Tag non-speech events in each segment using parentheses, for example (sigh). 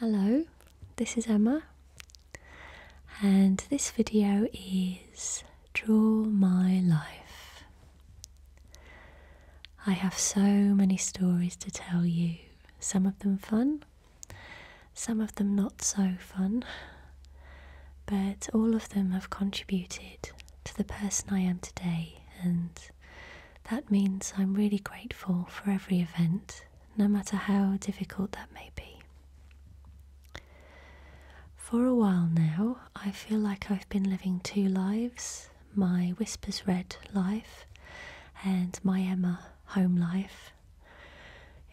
Hello, this is Emma, and this video is Draw My Life. I have so many stories to tell you, some of them fun, some of them not so fun, but all of them have contributed to the person I am today, and that means I'm really grateful for every event no matter how difficult that may be. For a while now, I feel like I've been living two lives my Whispers Red life and my Emma home life.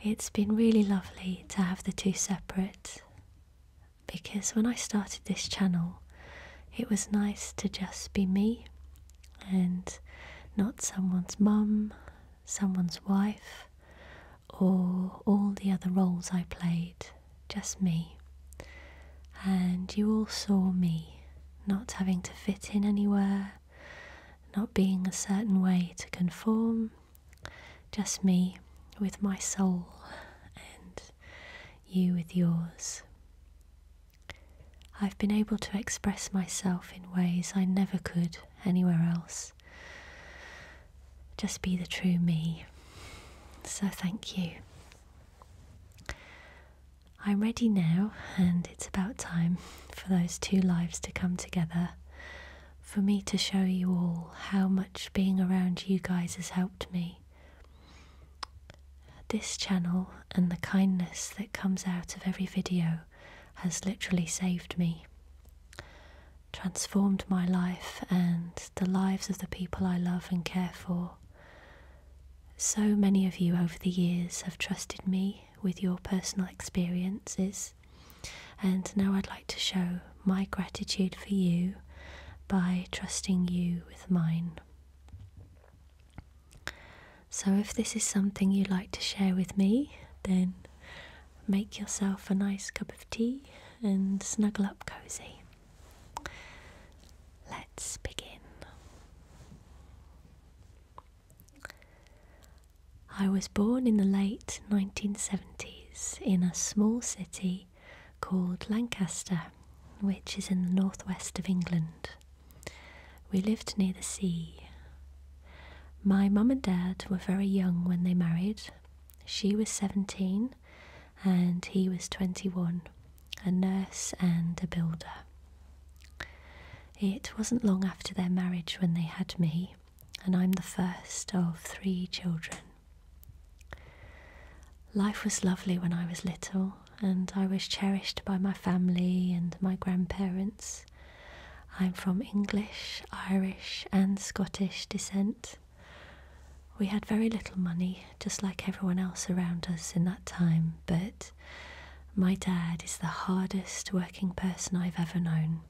It's been really lovely to have the two separate because when I started this channel, it was nice to just be me and not someone's mum, someone's wife, or all the other roles I played, just me. And you all saw me, not having to fit in anywhere, not being a certain way to conform, just me with my soul and you with yours. I've been able to express myself in ways I never could anywhere else. Just be the true me. So thank you. I'm ready now, and it's about time for those two lives to come together. For me to show you all how much being around you guys has helped me. This channel and the kindness that comes out of every video has literally saved me, transformed my life and the lives of the people I love and care for. So many of you over the years have trusted me with your personal experiences, and now I'd like to show my gratitude for you by trusting you with mine. So, if this is something you would like to share with me, then make yourself a nice cup of tea and snuggle up cozy. Let's begin. I was born in the late 1970s in a small city called Lancaster, which is in the northwest of England. We lived near the sea. My mum and dad were very young when they married. She was 17 and he was 21, a nurse and a builder. It wasn't long after their marriage when they had me, and I'm the first of three children. Life was lovely when I was little, and I was cherished by my family and my grandparents. I'm from English, Irish, and Scottish descent. We had very little money, just like everyone else around us in that time, but my dad is the hardest working person I've ever known.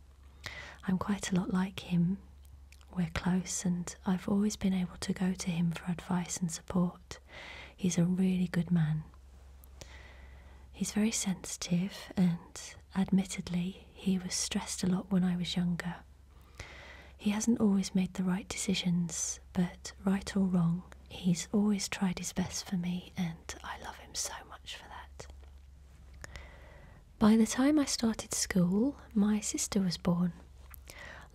I'm quite a lot like him. We're close, and I've always been able to go to him for advice and support. He's a really good man. He's very sensitive, and admittedly, he was stressed a lot when I was younger. He hasn't always made the right decisions, but right or wrong, he's always tried his best for me, and I love him so much for that. By the time I started school, my sister was born.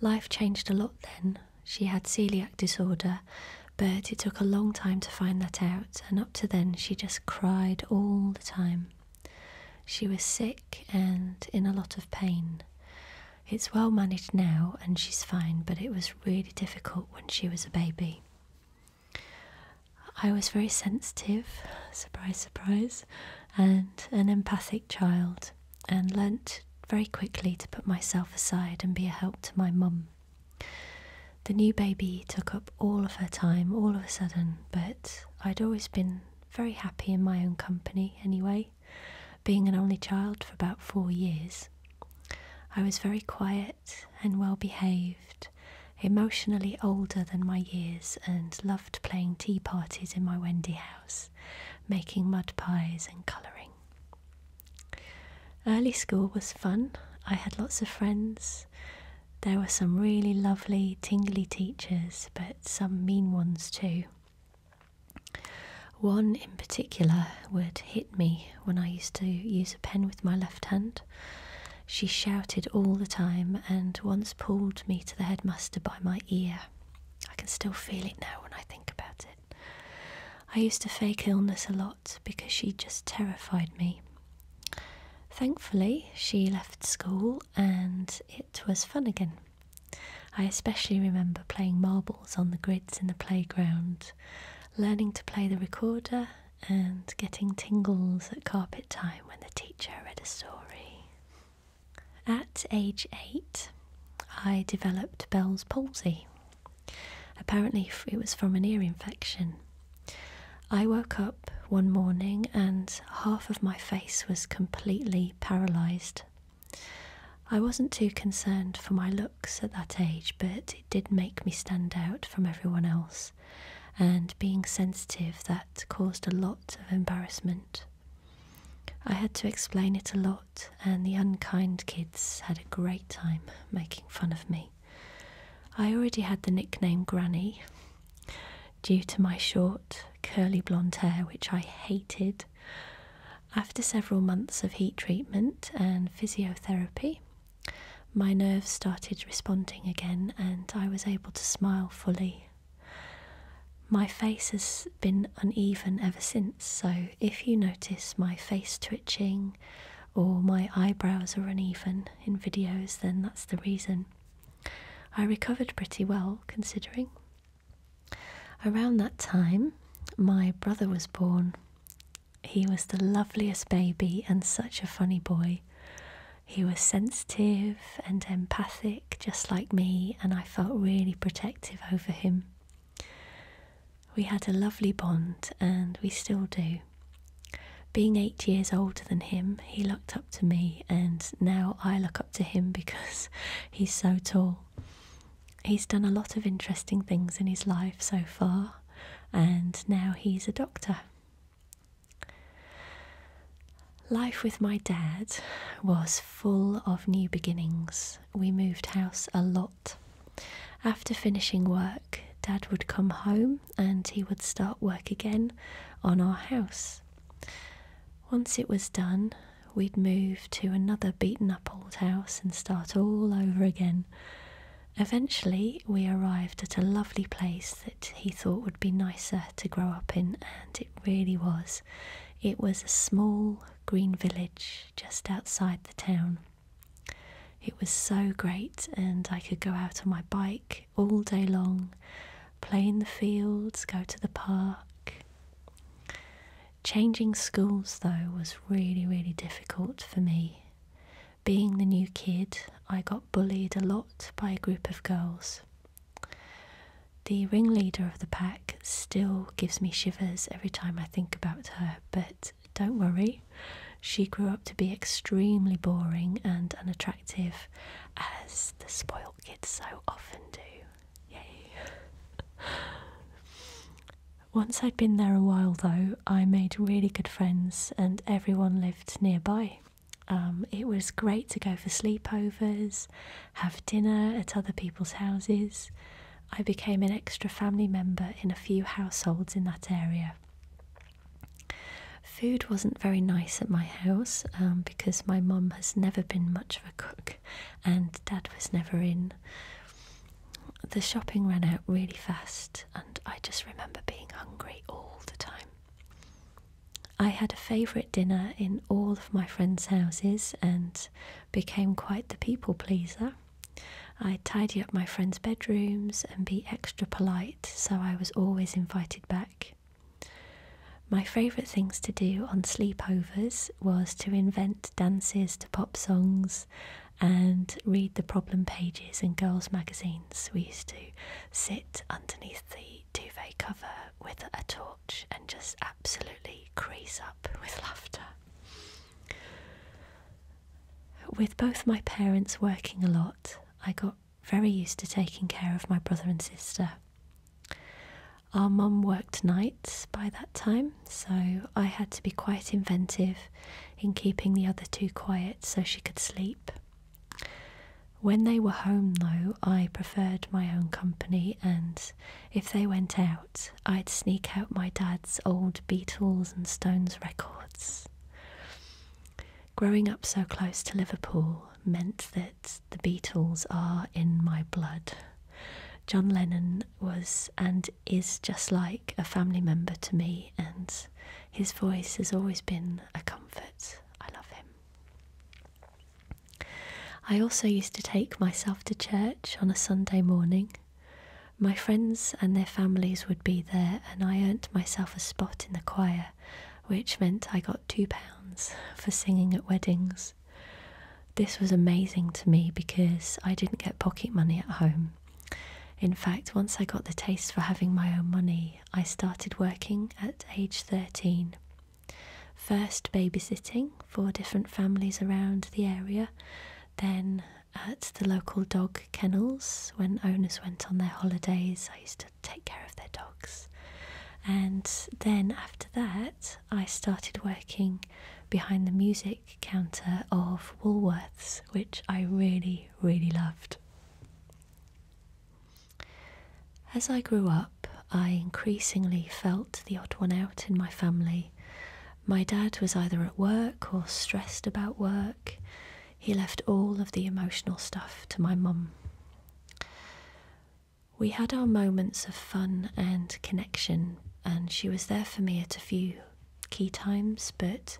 Life changed a lot then. She had celiac disorder but it took a long time to find that out, and up to then she just cried all the time. She was sick and in a lot of pain. It's well managed now and she's fine, but it was really difficult when she was a baby. I was very sensitive, surprise, surprise, and an empathic child, and learnt very quickly to put myself aside and be a help to my mum. The new baby took up all of her time all of a sudden, but I'd always been very happy in my own company anyway, being an only child for about four years. I was very quiet and well behaved, emotionally older than my years, and loved playing tea parties in my Wendy house, making mud pies and colouring. Early school was fun. I had lots of friends. There were some really lovely, tingly teachers, but some mean ones too. One in particular would hit me when I used to use a pen with my left hand. She shouted all the time and once pulled me to the headmaster by my ear. I can still feel it now when I think about it. I used to fake illness a lot because she just terrified me. Thankfully, she left school and it was fun again. I especially remember playing marbles on the grids in the playground, learning to play the recorder, and getting tingles at carpet time when the teacher read a story. At age eight, I developed Bell's palsy, Apparently, it was from an ear infection. I woke up one morning and half of my face was completely paralysed. I wasn't too concerned for my looks at that age, but it did make me stand out from everyone else, and being sensitive, that caused a lot of embarrassment. I had to explain it a lot, and the unkind kids had a great time making fun of me. I already had the nickname Granny due to my short, curly blonde hair, which I hated. After several months of heat treatment and physiotherapy, my nerves started responding again and I was able to smile fully. My face has been uneven ever since, so if you notice my face twitching or my eyebrows are uneven in videos, then that's the reason. I recovered pretty well, considering. Around that time, my brother was born. He was the loveliest baby and such a funny boy. He was sensitive and empathic, just like me, and I felt really protective over him. We had a lovely bond, and we still do. Being eight years older than him, he looked up to me, and now I look up to him (laughs) because he's so tall. He's done a lot of interesting things in his life so far, and now he's a doctor. Life with my dad was full of new beginnings. We moved house a lot. After finishing work, Dad would come home and he would start work again on our house. Once it was done, we'd move to another beaten up old house and start all over again. Eventually, we arrived at a lovely place that he thought would be nicer to grow up in, and it really was. It was a small green village just outside the town. It was so great, and I could go out on my bike all day long, play in the fields, go to the park. Changing schools, though, was really, really difficult for me. Being the new kid, I got bullied a lot by a group of girls. The ringleader of the pack still gives me shivers every time I think about her, but don't worry, she grew up to be extremely boring and unattractive, as the spoiled kids so often do. Yay! (laughs) Once I'd been there a while, though, I made really good friends, and everyone lived nearby. Um, it was great to go for sleepovers, have dinner at other people's houses. I became an extra family member in a few households in that area. Food wasn't very nice at my house um, because my mum has never been much of a cook and dad was never in. The shopping ran out really fast and I just remember being hungry all the time. I had a favourite dinner in all of my friends' houses and became quite the people pleaser i tidy up my friends' bedrooms and be extra polite, so I was always invited back. My favourite things to do on sleepovers was to invent dances to pop songs and read the problem pages in girls' magazines. We used to sit underneath the duvet cover with a torch and just absolutely crease up with laughter with both my parents working a lot, I got very used to taking care of my brother and sister. Our mum worked nights by that time, so I had to be quite inventive in keeping the other two quiet so she could sleep. When they were home, though, I preferred my own company, and if they went out, I'd sneak out my dad's old Beatles and Stones records. Growing up so close to Liverpool meant that the Beatles are in my blood. John Lennon was and is just like a family member to me, and his voice has always been a comfort. I love him. I also used to take myself to church on a Sunday morning. My friends and their families would be there, and I earned myself a spot in the choir, which meant I got two pounds for singing at weddings. This was amazing to me because I didn't get pocket money at home. In fact, once I got the taste for having my own money, I started working at age 13. First babysitting for different families around the area, then at the local dog kennels when owners went on their holidays. I used to take care of their dogs. And then after that, I started working behind the music counter of Woolworths, which I really, really loved. As I grew up, I increasingly felt the odd one out in my family. My dad was either at work or stressed about work he left all of the emotional stuff to my mum. We had our moments of fun and connection, and she was there for me at a few key times, but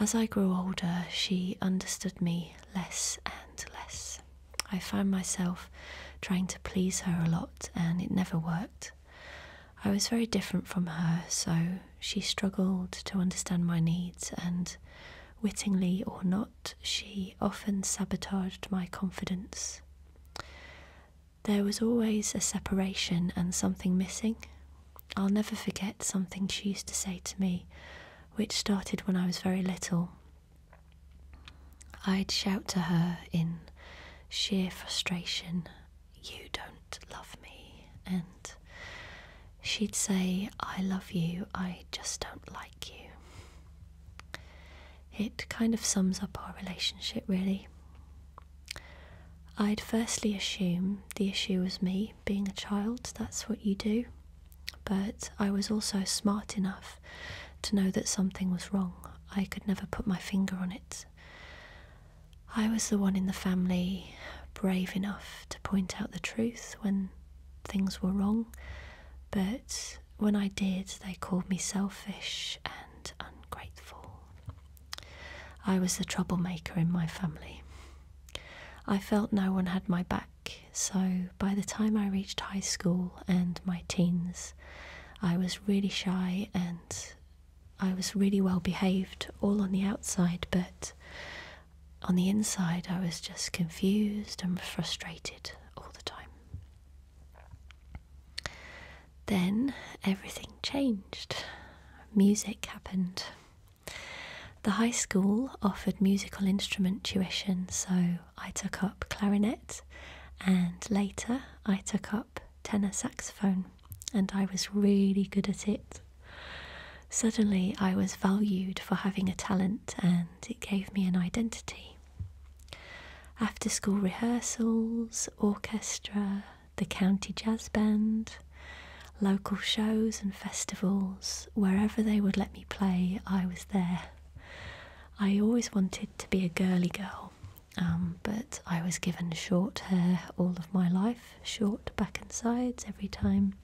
as I grew older, she understood me less and less. I found myself trying to please her a lot, and it never worked. I was very different from her, so she struggled to understand my needs, and wittingly or not, she often sabotaged my confidence. There was always a separation and something missing. I'll never forget something she used to say to me, which started when I was very little. I'd shout to her in sheer frustration you don't love me, and she'd say, I love you, I just don't like you. It kind of sums up our relationship, really. I'd firstly assume the issue was me being a child, that's what you do, but I was also smart enough to know that something was wrong. I could never put my finger on it. I was the one in the family brave enough to point out the truth when things were wrong, but when I did, they called me selfish and ungrateful. I was the troublemaker in my family. I felt no one had my back, so by the time I reached high school and my teens, I was really shy and I was really well behaved all on the outside, but on the inside, I was just confused and frustrated all the time. Then everything changed. Music happened. The high school offered musical instrument tuition, so I took up clarinet and later I took up tenor saxophone and I was really good at it. Suddenly, I was valued for having a talent and it gave me an identity. After school rehearsals, orchestra, the county jazz band, local shows and festivals, wherever they would let me play, I was there. I always wanted to be a girly girl, um, but I was given short hair all of my life, short back and sides every time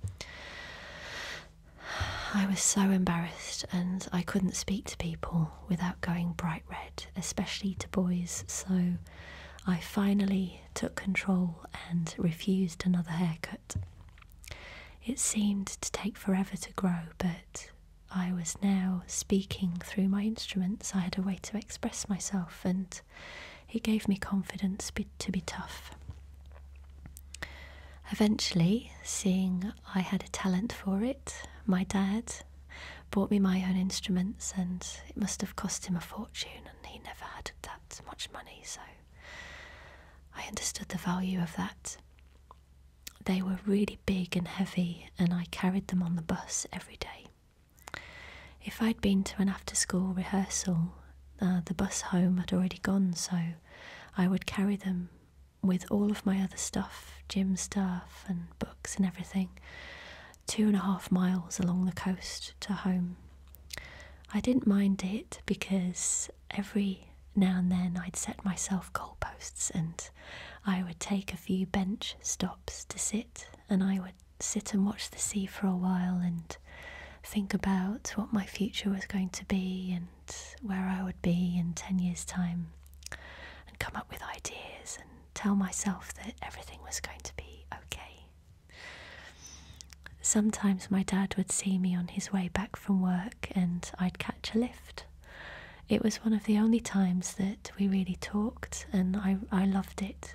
(sighs) I was so embarrassed, and I couldn't speak to people without going bright red, especially to boys. So I finally took control and refused another haircut. It seemed to take forever to grow, but I was now speaking through my instruments. I had a way to express myself, and he gave me confidence to be tough. Eventually, seeing I had a talent for it, my dad bought me my own instruments, and it must have cost him a fortune, and he never had that much money, so I understood the value of that. They were really big and heavy, and I carried them on the bus every day. If I'd been to an after school rehearsal, uh, the bus home had already gone, so I would carry them with all of my other stuff gym stuff and books and everything two and a half miles along the coast to home. I didn't mind it because every now and then I'd set myself goalposts and I would take a few bench stops to sit and I would sit and watch the sea for a while and think about what my future was going to be and where I would be in 10 years' time and come up with ideas and tell myself that everything was going to be okay. Sometimes my dad would see me on his way back from work and I'd catch a lift. It was one of the only times that we really talked and I, I loved it.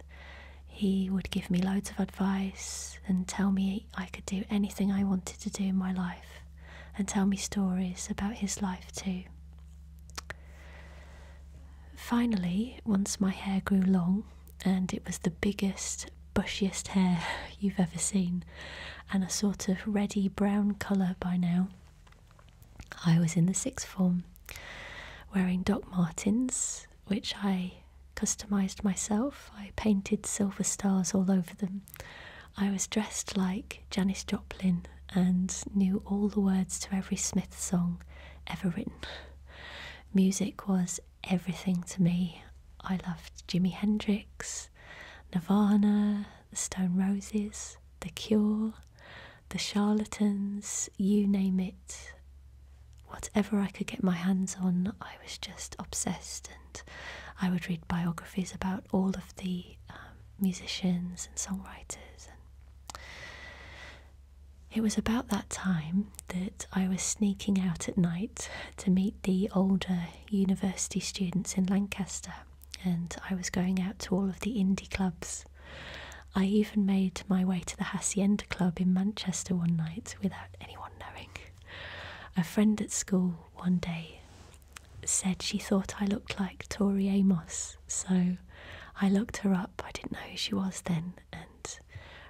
He would give me loads of advice and tell me I could do anything I wanted to do in my life and tell me stories about his life too. Finally, once my hair grew long and it was the biggest, bushiest hair (laughs) you've ever seen and a sort of reddy brown colour by now, I was in the sixth form wearing Doc Martens which I customized myself. I painted silver stars all over them. I was dressed like Janis Joplin and knew all the words to every Smith song ever written. Music was everything to me. I loved Jimi Hendrix, Nirvana, the Stone Roses, The Cure, The Charlatans, you name it whatever I could get my hands on, I was just obsessed, and I would read biographies about all of the um, musicians and songwriters. And it was about that time that I was sneaking out at night to meet the older university students in Lancaster, and I was going out to all of the indie clubs. I even made my way to the Hacienda Club in Manchester one night without anyone knowing. A friend at school one day said she thought I looked like Tori Amos, so I looked her up. I didn't know who she was then, and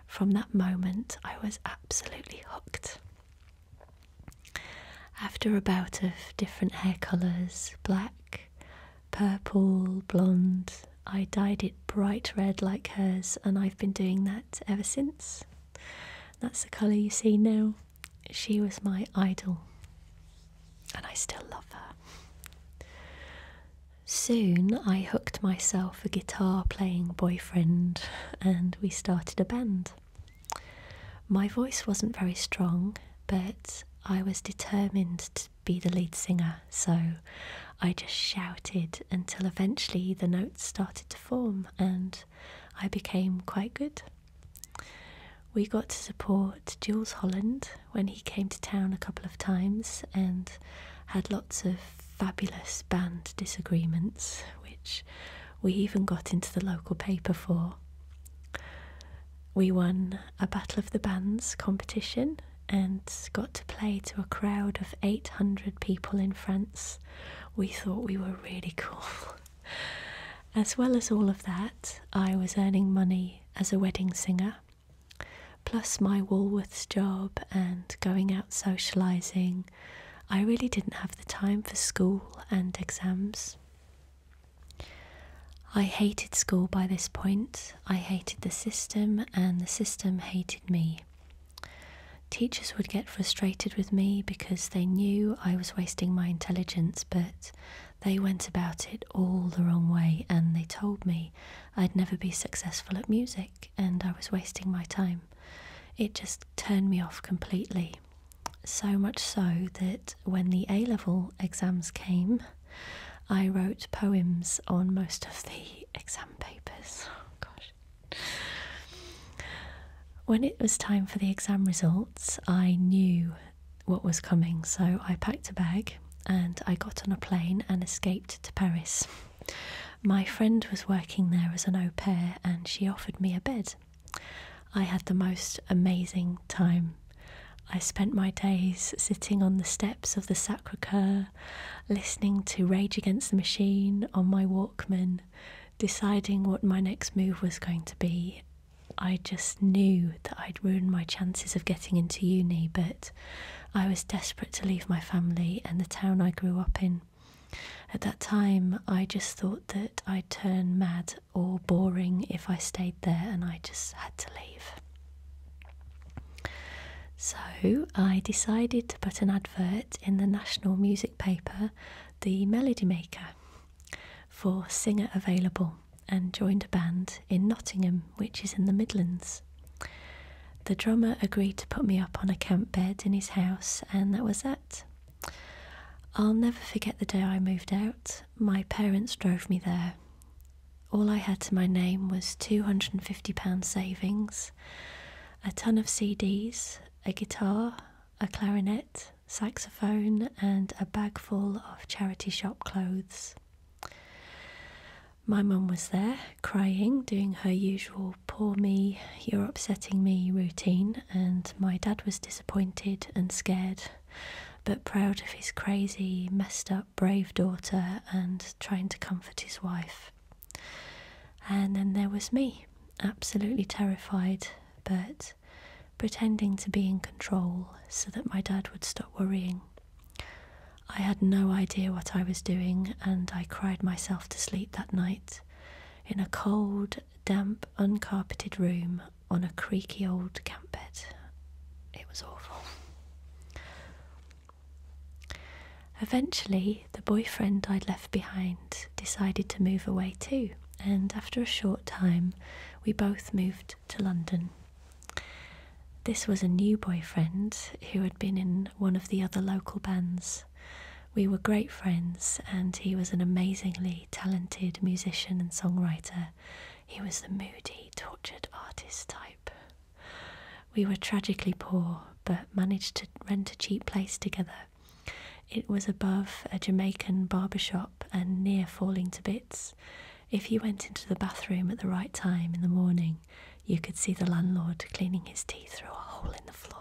from that moment I was absolutely hooked. After a bout of different hair colours black, purple, blonde, I dyed it bright red like hers, and I've been doing that ever since. That's the colour you see now. She was my idol, and I still love her. Soon I hooked myself a guitar playing boyfriend, and we started a band. My voice wasn't very strong, but I was determined to be the lead singer, so I just shouted until eventually the notes started to form and I became quite good. We got to support Jules Holland when he came to town a couple of times and had lots of fabulous band disagreements, which we even got into the local paper for. We won a Battle of the Bands competition and got to play to a crowd of 800 people in front. We thought we were really cool. (laughs) as well as all of that, I was earning money as a wedding singer, plus my Walworths job and going out socialising. I really didn't have the time for school and exams. I hated school by this point. I hated the system, and the system hated me. Teachers would get frustrated with me because they knew I was wasting my intelligence, but they went about it all the wrong way and they told me I'd never be successful at music and I was wasting my time. It just turned me off completely. So much so that when the A level exams came, I wrote poems on most of the (laughs) exam papers. Oh, gosh. When it was time for the exam results, I knew what was coming, so I packed a bag and I got on a plane and escaped to Paris. My friend was working there as an au pair and she offered me a bed. I had the most amazing time. I spent my days sitting on the steps of the Sacre Coeur listening to Rage Against the Machine on my Walkman, deciding what my next move was going to be. I just knew that I'd ruin my chances of getting into uni, but I was desperate to leave my family and the town I grew up in. At that time, I just thought that I'd turn mad or boring if I stayed there, and I just had to leave. So I decided to put an advert in the national music paper, The Melody Maker, for singer available and joined a band in Nottingham, which is in the Midlands. The drummer agreed to put me up on a camp bed in his house, and that was that. I'll never forget the day I moved out. My parents drove me there. All I had to my name was £250 savings a ton of CDs, a guitar, a clarinet, saxophone, and a bag full of charity shop clothes. My mum was there, crying, doing her usual poor me, you're upsetting me routine, and my dad was disappointed and scared, but proud of his crazy, messed up, brave daughter and trying to comfort his wife. And then there was me, absolutely terrified, but pretending to be in control so that my dad would stop worrying. I had no idea what I was doing, and I cried myself to sleep that night in a cold, damp, uncarpeted room on a creaky old camp bed. It was awful. Eventually, the boyfriend I'd left behind decided to move away too, and after a short time, we both moved to London. This was a new boyfriend who had been in one of the other local bands. We were great friends, and he was an amazingly talented musician and songwriter. He was the moody, tortured artist type. We were tragically poor, but managed to rent a cheap place together. It was above a Jamaican barber shop and near falling to bits. If you went into the bathroom at the right time in the morning, you could see the landlord cleaning his teeth through a hole in the floor.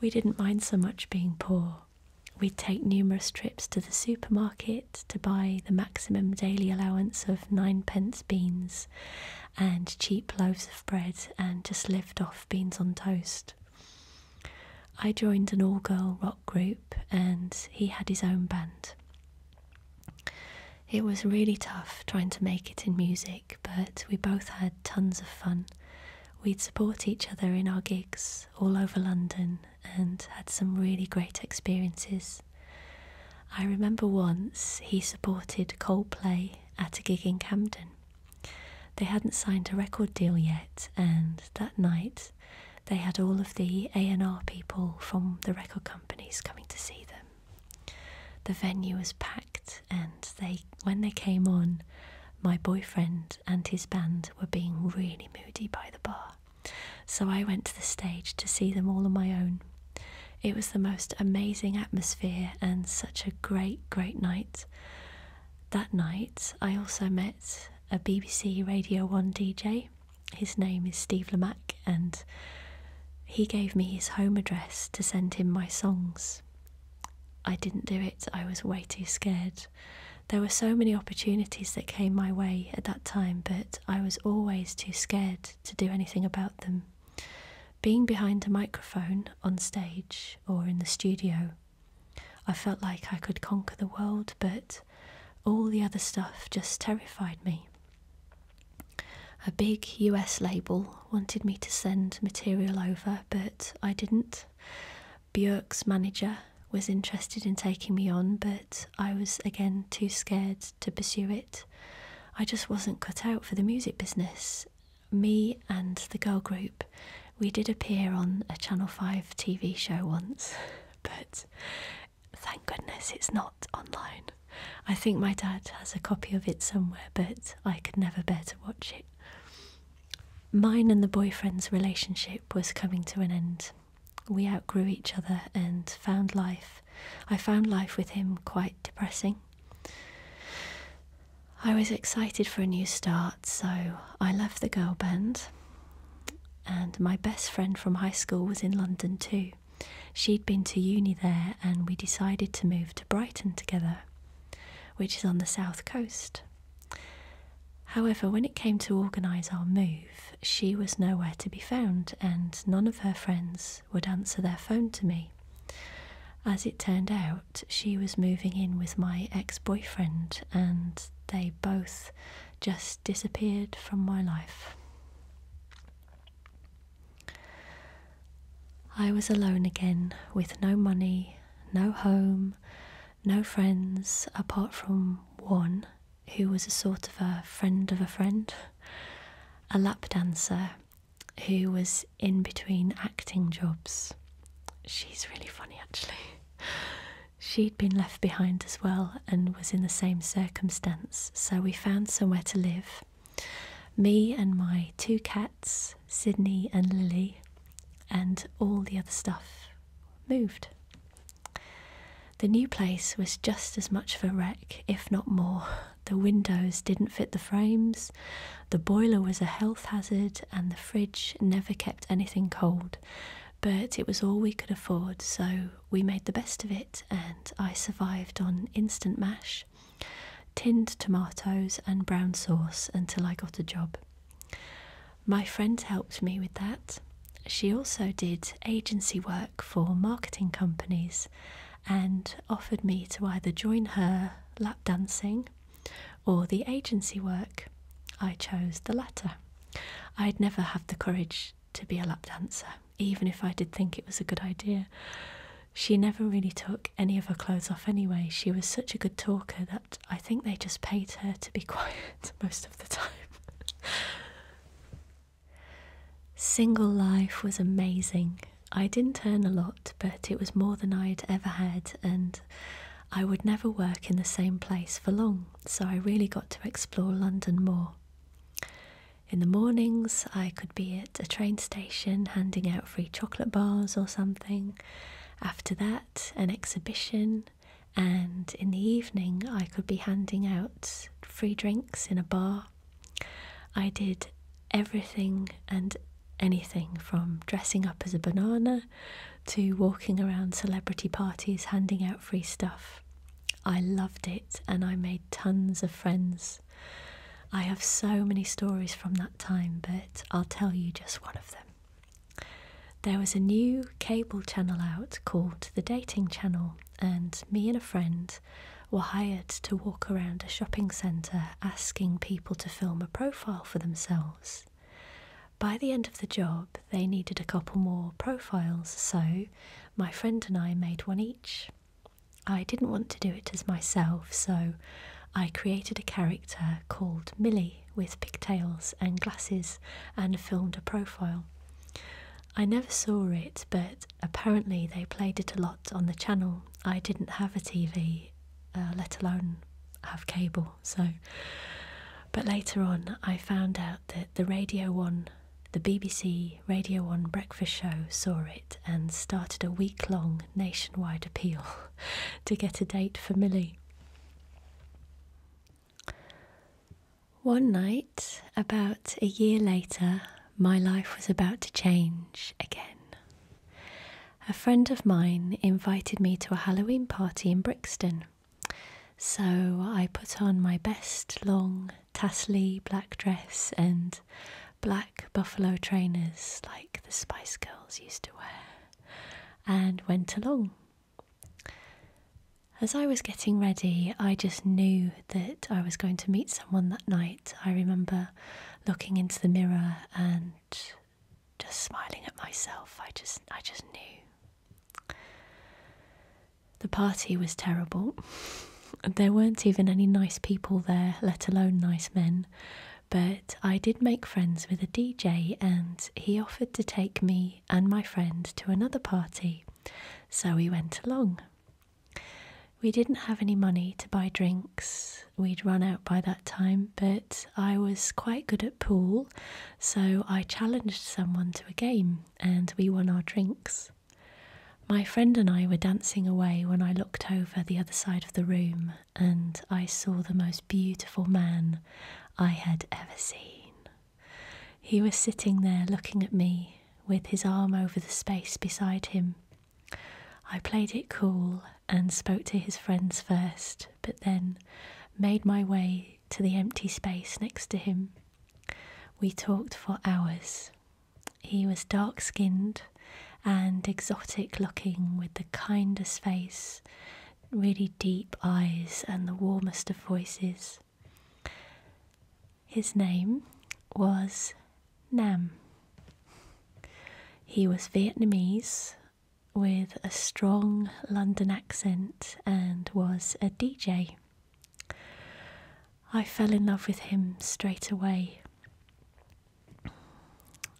We didn't mind so much being poor. We'd take numerous trips to the supermarket to buy the maximum daily allowance of ninepence beans and cheap loaves of bread and just live off beans on toast. I joined an all girl rock group and he had his own band. It was really tough trying to make it in music, but we both had tons of fun. We'd support each other in our gigs all over London and had some really great experiences. I remember once he supported Coldplay at a gig in Camden. They hadn't signed a record deal yet, and that night they had all of the A&R people from the record companies coming to see them. The venue was packed, and they when they came on, my boyfriend and his band were being really moody by the bar. So I went to the stage to see them all on my own. It was the most amazing atmosphere and such a great, great night. That night, I also met a BBC Radio 1 DJ. His name is Steve Lamack, and he gave me his home address to send him my songs. I didn't do it, I was way too scared. There were so many opportunities that came my way at that time, but I was always too scared to do anything about them. Being behind a microphone on stage or in the studio, I felt like I could conquer the world, but all the other stuff just terrified me. A big US label wanted me to send material over, but I didn't. Björk's manager was interested in taking me on, but I was again too scared to pursue it. I just wasn't cut out for the music business, me and the girl group, we did appear on a Channel 5 TV show once, (laughs) but thank goodness it's not online. I think my dad has a copy of it somewhere, but I could never bear to watch it. Mine and the boyfriend's relationship was coming to an end. We outgrew each other and found life. I found life with him quite depressing. I was excited for a new start, so I left the girl band. And my best friend from high school was in London too. She'd been to uni there, and we decided to move to Brighton together, which is on the south coast. However, when it came to organise our move, she was nowhere to be found, and none of her friends would answer their phone to me. As it turned out, she was moving in with my ex boyfriend, and they both just disappeared from my life. I was alone again with no money, no home, no friends apart from one who was a sort of a friend of a friend, a lap dancer who was in between acting jobs. She's really funny, actually. She'd been left behind as well and was in the same circumstance, so we found somewhere to live. Me and my two cats, Sydney and Lily, and all the other stuff moved. The new place was just as much of a wreck, if not more, the windows didn't fit the frames, the boiler was a health hazard, and the fridge never kept anything cold. But it was all we could afford, so we made the best of it, and I survived on instant mash, tinned tomatoes, and brown sauce until I got a job. My friend helped me with that. She also did agency work for marketing companies and offered me to either join her lap dancing or the agency work. I chose the latter. I'd never have the courage to be a lap dancer, even if I did think it was a good idea. She never really took any of her clothes off anyway. She was such a good talker that I think they just paid her to be (laughs) quiet most of the time. (laughs) Single life was amazing. I didn't earn a lot, but it was more than I would ever had, and I would never work in the same place for long, so I really got to explore London more. In the mornings, I could be at a train station handing out free chocolate bars or something. After that, an exhibition, and in the evening, I could be handing out free drinks in a bar. I did everything and anything from dressing up as a banana to walking around celebrity parties handing out free stuff. I loved it and I made tons of friends. I have so many stories from that time, but I'll tell you just one of them. There was a new cable channel out called the Dating Channel, and me and a friend were hired to walk around a shopping centre asking people to film a profile for themselves. By the end of the job, they needed a couple more profiles, so my friend and I made one each. I didn't want to do it as myself, so I created a character called Millie with pigtails and glasses and filmed a profile. I never saw it, but apparently they played it a lot on the channel. I didn't have a TV uh, let alone have cable. So, but later on, I found out that the Radio One, the BBC Radio One breakfast show, saw it and started a week long nationwide appeal (laughs) to get a date for Millie. One night, about a year later, my life was about to change again. A friend of mine invited me to a Halloween party in Brixton. So I put on my best long tassely black dress and black buffalo trainers like the Spice Girls used to wear and went along. As I was getting ready, I just knew that I was going to meet someone that night. I remember looking into the mirror and just smiling at myself, I just I just knew. The party was terrible. (laughs) There weren't even any nice people there, let alone nice men. But I did make friends with a DJ, and he offered to take me and my friend to another party. So we went along. We didn't have any money to buy drinks, we'd run out by that time, but I was quite good at pool, so I challenged someone to a game and we won our drinks. My friend and I were dancing away when I looked over the other side of the room and I saw the most beautiful man I had ever seen. He was sitting there looking at me with his arm over the space beside him, I played it cool and spoke to his friends first, but then made my way to the empty space next to him. We talked for hours. He was dark skinned and exotic looking, with the kindest face, really deep eyes, and the warmest of voices. His name was Nam. He was Vietnamese with a strong London accent and was a DJ. I fell in love with him straight away.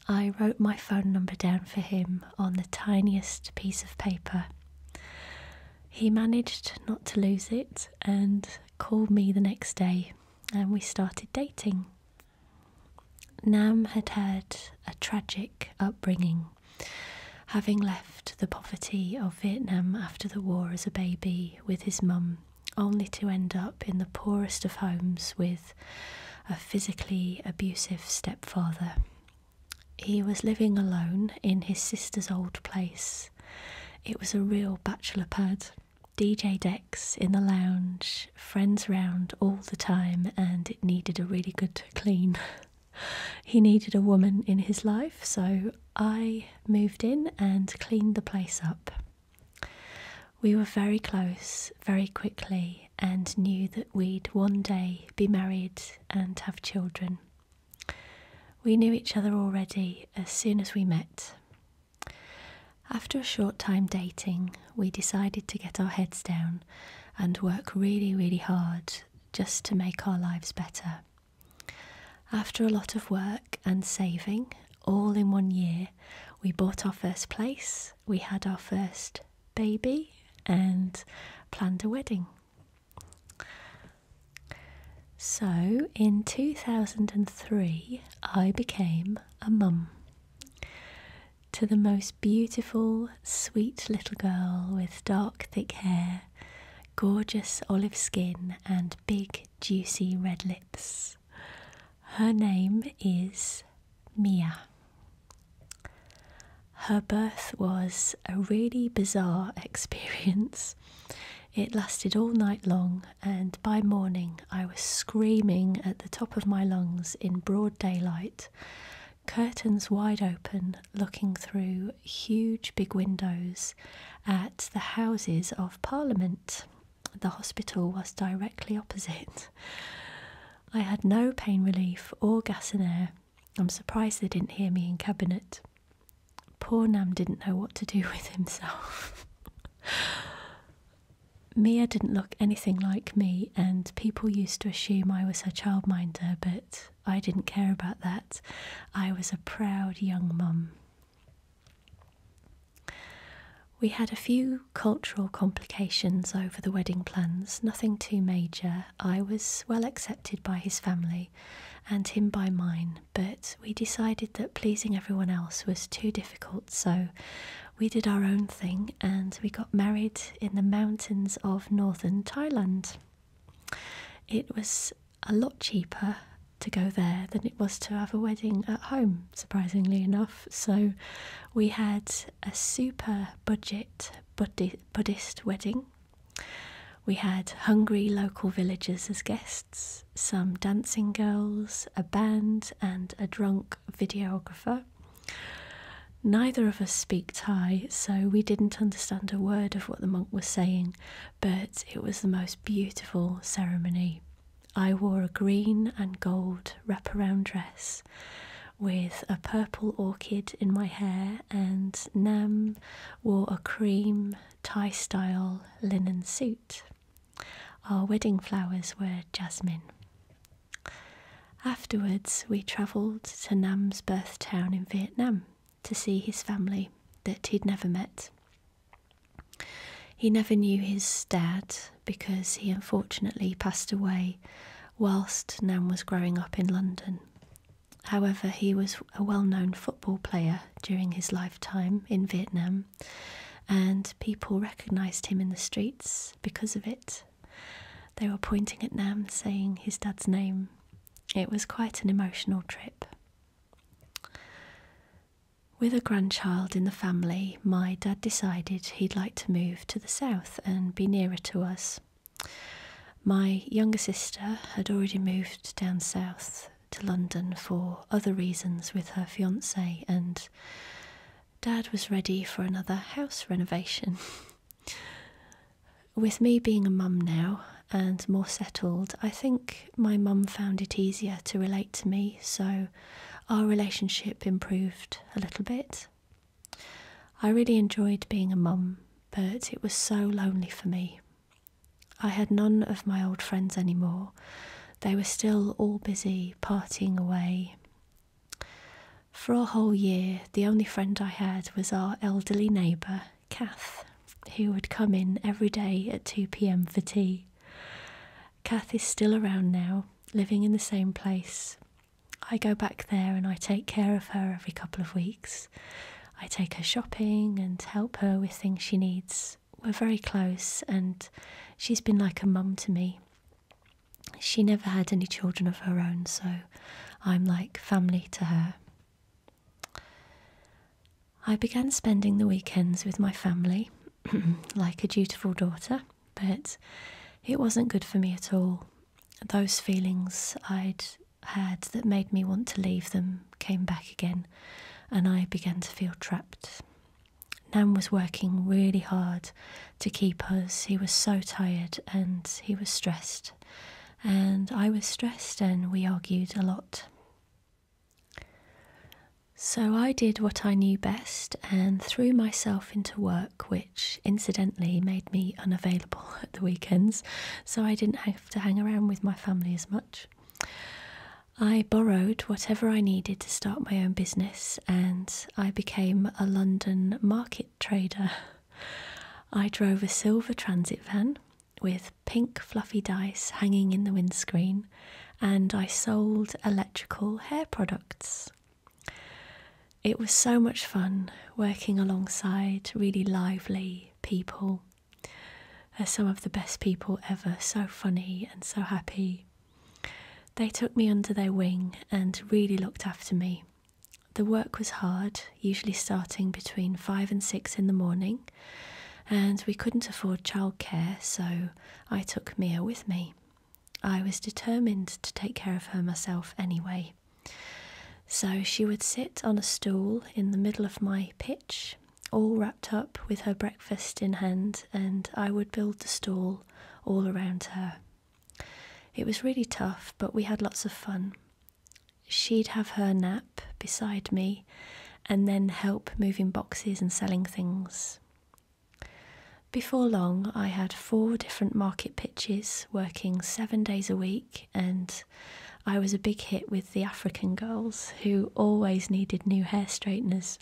I wrote my phone number down for him on the tiniest piece of paper. He managed not to lose it and called me the next day, and we started dating. Nam had had a tragic upbringing, having left the poverty of Vietnam after the war as a baby with his mum, only to end up in the poorest of homes with a physically abusive stepfather. He was living alone in his sister's old place. It was a real bachelor pad. DJ in the lounge, friends round all the time, and it needed a really good clean. (laughs) he needed a woman in his life, so I moved in and cleaned the place up. We were very close very quickly and knew that we'd one day be married and have children. We knew each other already as soon as we met. After a short time dating, we decided to get our heads down and work really, really hard just to make our lives better. After a lot of work and saving, all in one year, we bought our first place, we had our first baby, and planned a wedding. So in 2003, I became a mum to the most beautiful, sweet little girl with dark, thick hair, gorgeous olive skin, and big, juicy red lips. Her name is Mia. Her birth was a really bizarre (laughs) experience. It lasted all night long, and by morning, I was screaming at the top of my lungs in broad daylight, curtains wide open, looking through huge big windows at the Houses of Parliament. The hospital was directly opposite. I had no pain relief or gas in air. I'm surprised they didn't hear me in cabinet. Poor Nam didn't know what to do (laughs) with himself. Mia didn't look anything like me, and people used to assume I was her childminder, but I didn't care about that. I was a proud young mum. We had a few cultural complications over the wedding plans, nothing too major. I was well accepted by his family and him by mine, but we decided that pleasing everyone else was too difficult so we did our own thing and we got married in the mountains of northern Thailand. It was a lot cheaper to go there than it was to have a wedding at home, surprisingly enough. So we had a super budget Buddhist wedding. We had hungry local villagers as guests, some dancing girls, a band, and a drunk videographer. Neither of us speak Thai, so we didn't understand a word of what the monk was saying, but it was the most beautiful ceremony. I wore a green and gold wraparound dress with a purple orchid in my hair, and Nem wore a cream Thai style linen suit. Our wedding flowers were jasmine. Afterwards, we travelled to Nam's birth town in Vietnam to see his family that he'd never met. He never knew his dad because he unfortunately passed away whilst Nam was growing up in London. However, he was a well known football player during his lifetime in Vietnam, and people recognised him in the streets because of it they were pointing at Nam, saying his dad's name. It was quite an emotional trip. With a grandchild in the family, my dad decided he'd like to move to the south and be nearer to us. My younger sister had already moved down south to London for other reasons with her fiance, and Dad was ready for another house renovation. (laughs) With me being a mum now and more settled, I think my mum found it easier to relate to me, so our relationship improved a little bit. I really enjoyed being a mum, but it was so lonely for me. I had none of my old friends anymore. They were still all busy parting away, for a whole year, the only friend I had was our elderly neighbour, Kath, who would come in every day at 2 pm for tea. Kath is still around now, living in the same place. I go back there and I take care of her every couple of weeks. I take her shopping and help her with things she needs. We're very close, and she's been like a mum to me. She never had any children of her own, so I'm like family to her. I began spending the weekends with my family, (clears throat) like a dutiful daughter, but it wasn't good for me at all. Those feelings I'd had that made me want to leave them came back again, and I began to feel trapped. Nan was working really hard to keep us. He was so tired and he was stressed. And I was stressed and we argued a lot. So I did what I knew best and threw myself into work, which incidentally made me unavailable (laughs) at the weekends, so I didn't have to hang around with my family as much. I borrowed whatever I needed to start my own business and I became a London market trader. I drove a silver transit van with pink fluffy dice hanging in the windscreen, and I sold electrical hair products. It was so much fun working alongside really lively people. They're some of the best people ever, so funny and so happy. They took me under their wing and really looked after me. The work was hard, usually starting between five and six in the morning, and we couldn't afford childcare, so I took Mia with me. I was determined to take care of her myself anyway. So she would sit on a stool in the middle of my pitch, all wrapped up with her breakfast in hand, and I would build the stall all around her. It was really tough, but we had lots of fun. She'd have her nap beside me and then help moving boxes and selling things. Before long, I had four different market pitches working seven days a week, and I was a big hit with the African girls who always needed new hair straighteners.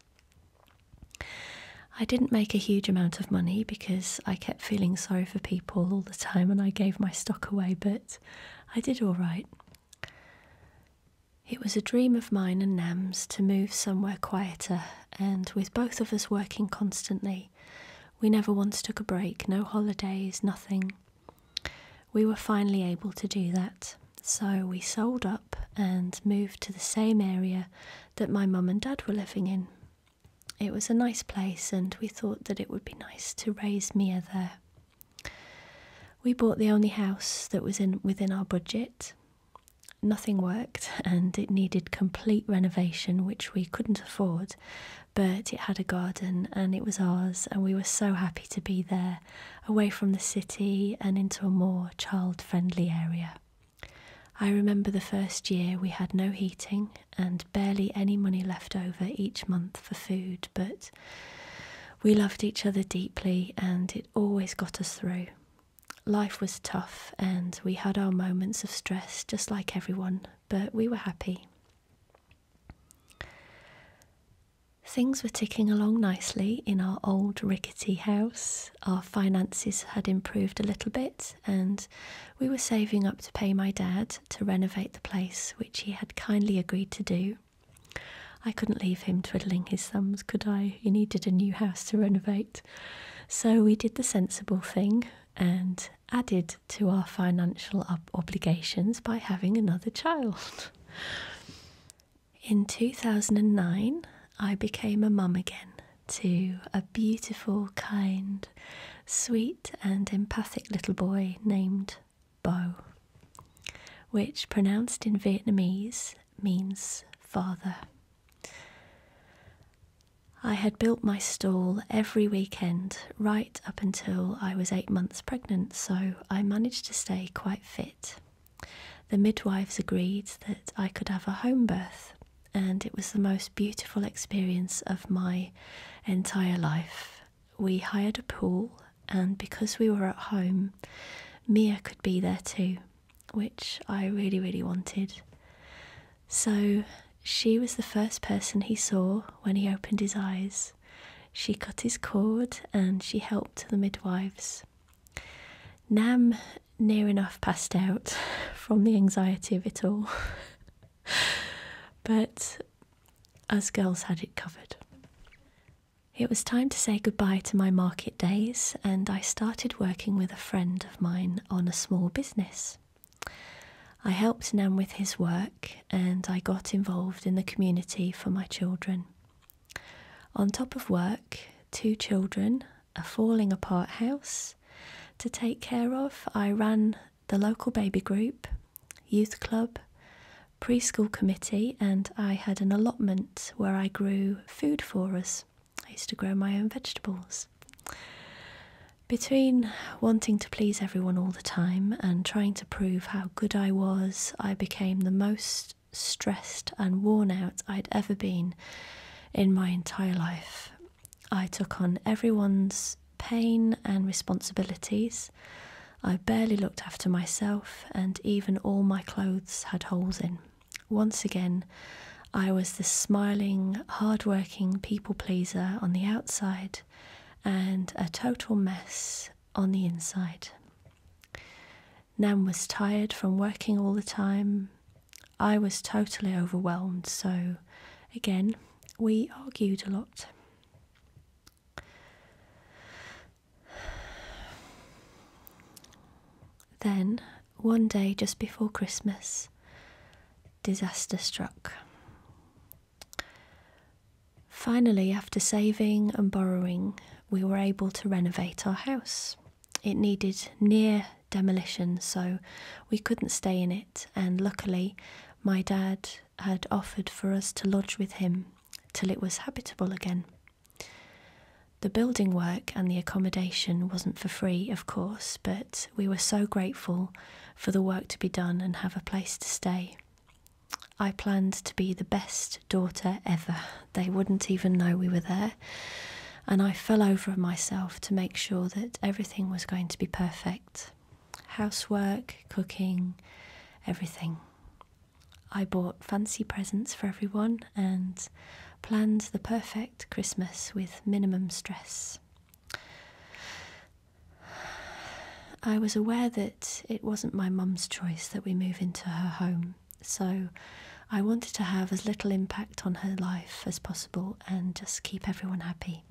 I didn't make a huge amount of money because I kept feeling sorry for people all the time and I gave my stock away, but I did all right. It was a dream of mine and Nam's to move somewhere quieter, and with both of us working constantly, we never once took a break, no holidays, nothing. We were finally able to do that, so we sold up and moved to the same area that my mum and dad were living in, it was a nice place, and we thought that it would be nice to raise Mia there. We bought the only house that was in within our budget. Nothing worked, (laughs) and it needed complete renovation, which we couldn't afford. But it had a garden, and it was ours, and we were so happy to be there, away from the city and into a more child-friendly area. I remember the first year we had no heating and barely any money left over each month for food, but we loved each other deeply and it always got us through. Life was tough and we had our moments of stress just like everyone, but we were happy. Things were ticking along nicely in our old rickety house. Our finances had improved a little bit, and we were saving up to pay my dad to renovate the place, which he had kindly agreed to do. I couldn't leave him twiddling his thumbs, could I? He needed a new house to renovate. So we did the sensible thing and added to our financial obligations by having another child. In 2009, I became a mum again to a beautiful, kind, sweet, and empathic little boy named Bo, which pronounced in Vietnamese means father. I had built my stall every weekend right up until I was eight months pregnant, so I managed to stay quite fit. The midwives agreed that I could have a home birth and it was the most beautiful experience of my entire life. We hired a pool, and because we were at home, Mia could be there too, which I really, really wanted. So she was the first person he saw when he opened his eyes. She cut his cord and she helped the midwives. Nam near enough passed out (laughs) from the anxiety of it all. (laughs) but as girls had it covered. It was time to say goodbye to my market days, and I started working with a friend of mine on a small business. I helped Nam with his work and I got involved in the community for my children. On top of work, two children a falling apart house to take care of. I ran the local baby group, youth club, preschool committee, and I had an allotment where I grew food for us. I used to grow my own vegetables. Between wanting to please everyone all the time and trying to prove how good I was, I became the most stressed and worn out I'd ever been in my entire life. I took on everyone's pain and responsibilities. I barely looked after myself, and even all my clothes had holes in. Once again, I was the smiling, hard-working people pleaser on the outside and a total mess on the inside. Nan was tired from working all the time, I was totally overwhelmed, so again, we argued a lot. Then, one day just before Christmas, disaster struck. Finally, after saving and borrowing, we were able to renovate our house. It needed near demolition, so we couldn't stay in it and luckily, my dad had offered for us to lodge with him till it was habitable again. The building work and the accommodation wasn't for free, of course, but we were so grateful for the work to be done and have a place to stay. I planned to be the best daughter ever. They wouldn't even know we were there and I fell over myself to make sure that everything was going to be perfect housework, cooking, everything. I bought fancy presents for everyone and planned the perfect Christmas with minimum stress. I was aware that it wasn't my mum's choice that we move into her home, so I wanted to have as little impact on her life as possible and just keep everyone happy.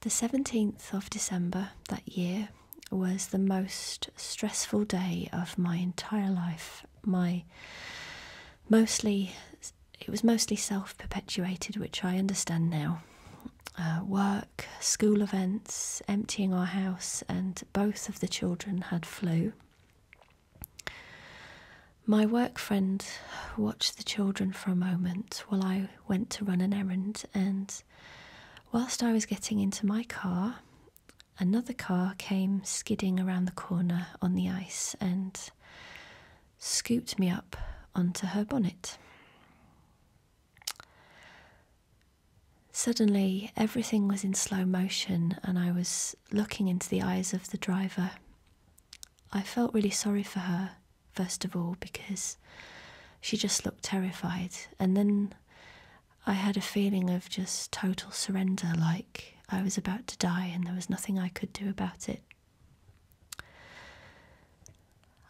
The 17th of December that year was the most stressful day of my entire life. My mostly it was mostly self-perpetuated, which I understand now. Uh, work, school events, emptying our house, and both of the children had flu. My work friend watched the children for a moment while I went to run an errand, and whilst I was getting into my car, another car came skidding around the corner on the ice and scooped me up onto her bonnet. Suddenly, everything was in slow motion, and I was looking into the eyes of the driver. I felt really sorry for her, first of all, because she just looked terrified. And then I had a feeling of just total surrender, like I was about to die and there was nothing I could do about it.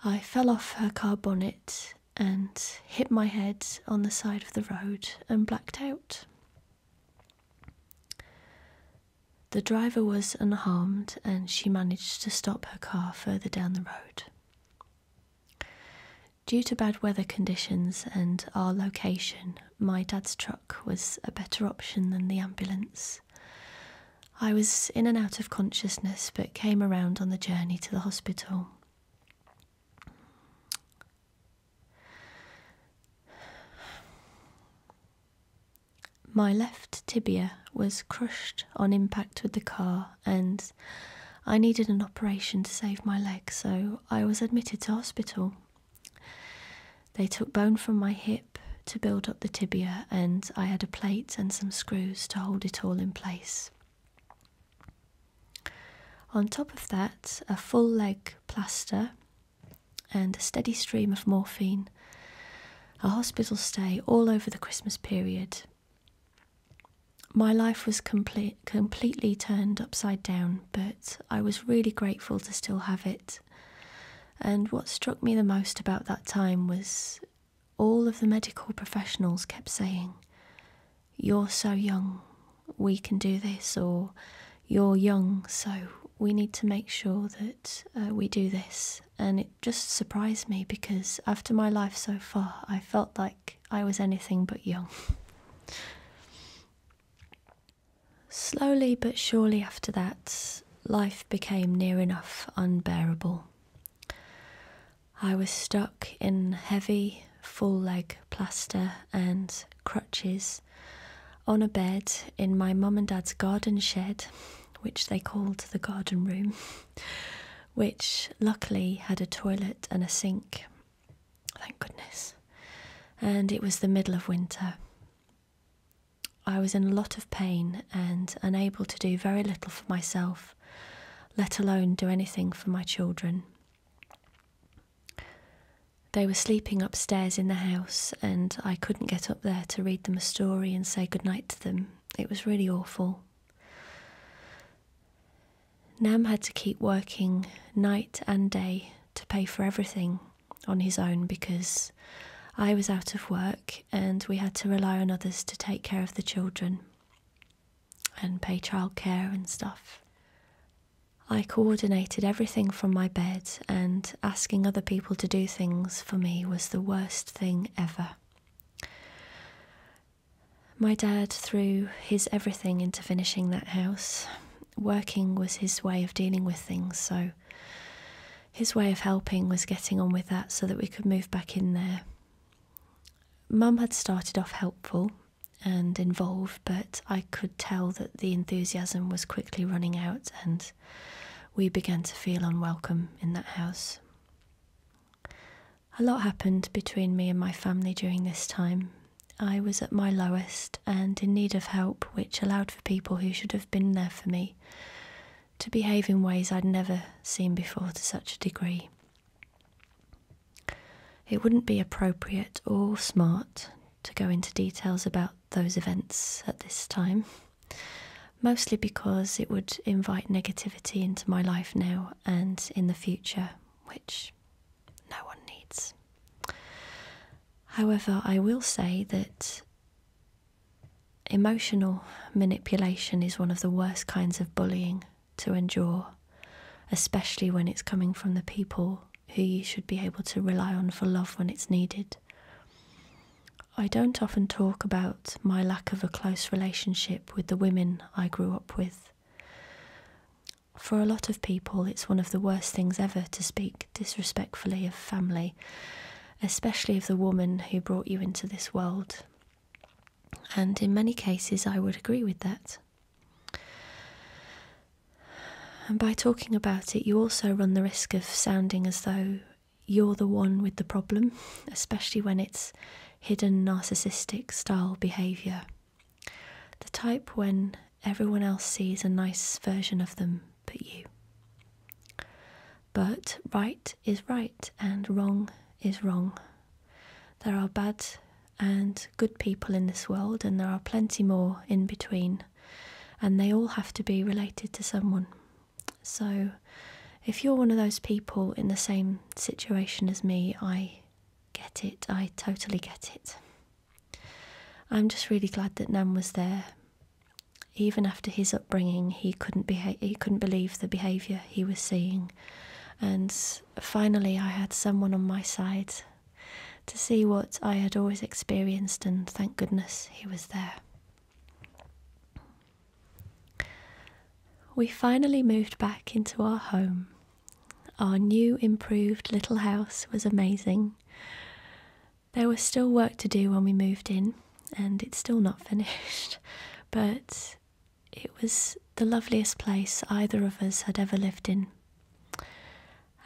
I fell off her car bonnet and hit my head on the side of the road and blacked out. The driver was unharmed and she managed to stop her car further down the road. Due to bad weather conditions and our location, my dad's truck was a better option than the ambulance. I was in and out of consciousness but came around on the journey to the hospital. My left tibia was crushed on impact with the car, and I needed an operation to save my leg, so I was admitted to hospital. They took bone from my hip to build up the tibia, and I had a plate and some screws to hold it all in place. On top of that, a full leg plaster and a steady stream of morphine, a hospital stay all over the Christmas period. My life was complete, completely turned upside down, but I was really grateful to still have it. And what struck me the most about that time was all of the medical professionals kept saying, You're so young, we can do this, or you're young, so we need to make sure that uh, we do this. And it just surprised me because after my life so far, I felt like I was anything but young. Slowly but surely after that, life became near enough unbearable. I was stuck in heavy, full leg plaster and crutches on a bed in my mum and dad's garden shed, which they called the garden room, (laughs) which luckily had a toilet and a sink. Thank goodness. And it was the middle of winter. I was in a lot of pain and unable to do very little for myself, let alone do anything for my children. They were sleeping upstairs in the house, and I couldn't get up there to read them a story and say goodnight to them. It was really awful. Nam had to keep working night and day to pay for everything on his own because I was out of work and we had to rely on others to take care of the children and pay child care and stuff. I coordinated everything from my bed, and asking other people to do things for me was the worst thing ever. My dad threw his everything into finishing that house. Working was his way of dealing with things, so his way of helping was getting on with that so that we could move back in there. Mum had started off helpful and involved, but I could tell that the enthusiasm was quickly running out and we began to feel unwelcome in that house. A lot happened between me and my family during this time. I was at my lowest and in need of help, which allowed for people who should have been there for me to behave in ways I'd never seen before to such a degree. It wouldn't be appropriate or smart to go into details about those events at this time, mostly because it would invite negativity into my life now and in the future, which no one needs. However, I will say that emotional manipulation is one of the worst kinds of bullying to endure, especially when it's coming from the people who you should be able to rely on for love when it's needed. I don't often talk about my lack of a close relationship with the women I grew up with. For a lot of people, it's one of the worst things ever to speak disrespectfully of family, especially of the woman who brought you into this world. And in many cases, I would agree with that. And by talking about it, you also run the risk of sounding as though you're the one with the problem, especially when it's hidden narcissistic style behaviour. The type when everyone else sees a nice version of them but you. But right is right and wrong is wrong. There are bad and good people in this world, and there are plenty more in between and they all have to be related to someone. So, if you're one of those people in the same situation as me, I get it, I totally get it. I'm just really glad that Nan was there. Even after his upbringing, he couldn't he couldn't believe the behaviour he was seeing, and finally I had someone on my side to see what I had always experienced, and thank goodness he was there. We finally moved back into our home. Our new, improved little house was amazing. There was still work to do when we moved in, and it's still not (laughs) finished, but it was the loveliest place either of us had ever lived in.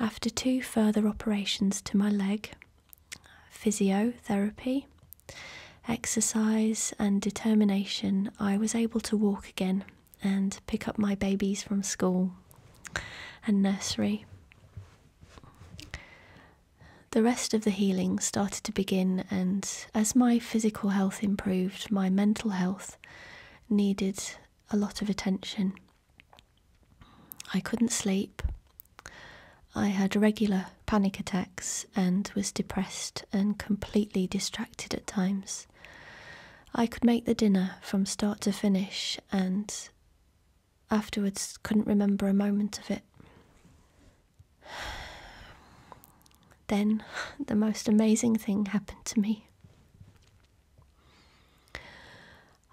After two further operations to my leg, physiotherapy, exercise, and determination, I was able to walk again and pick up my babies from school and nursery. The rest of the healing started to begin, and as my physical health improved, my mental health needed a lot of attention. I couldn't sleep. I had regular panic attacks and was depressed and completely distracted at times. I could make the dinner from start to finish and afterwards couldn't remember a moment of it. (sighs) Then the most amazing thing happened to me.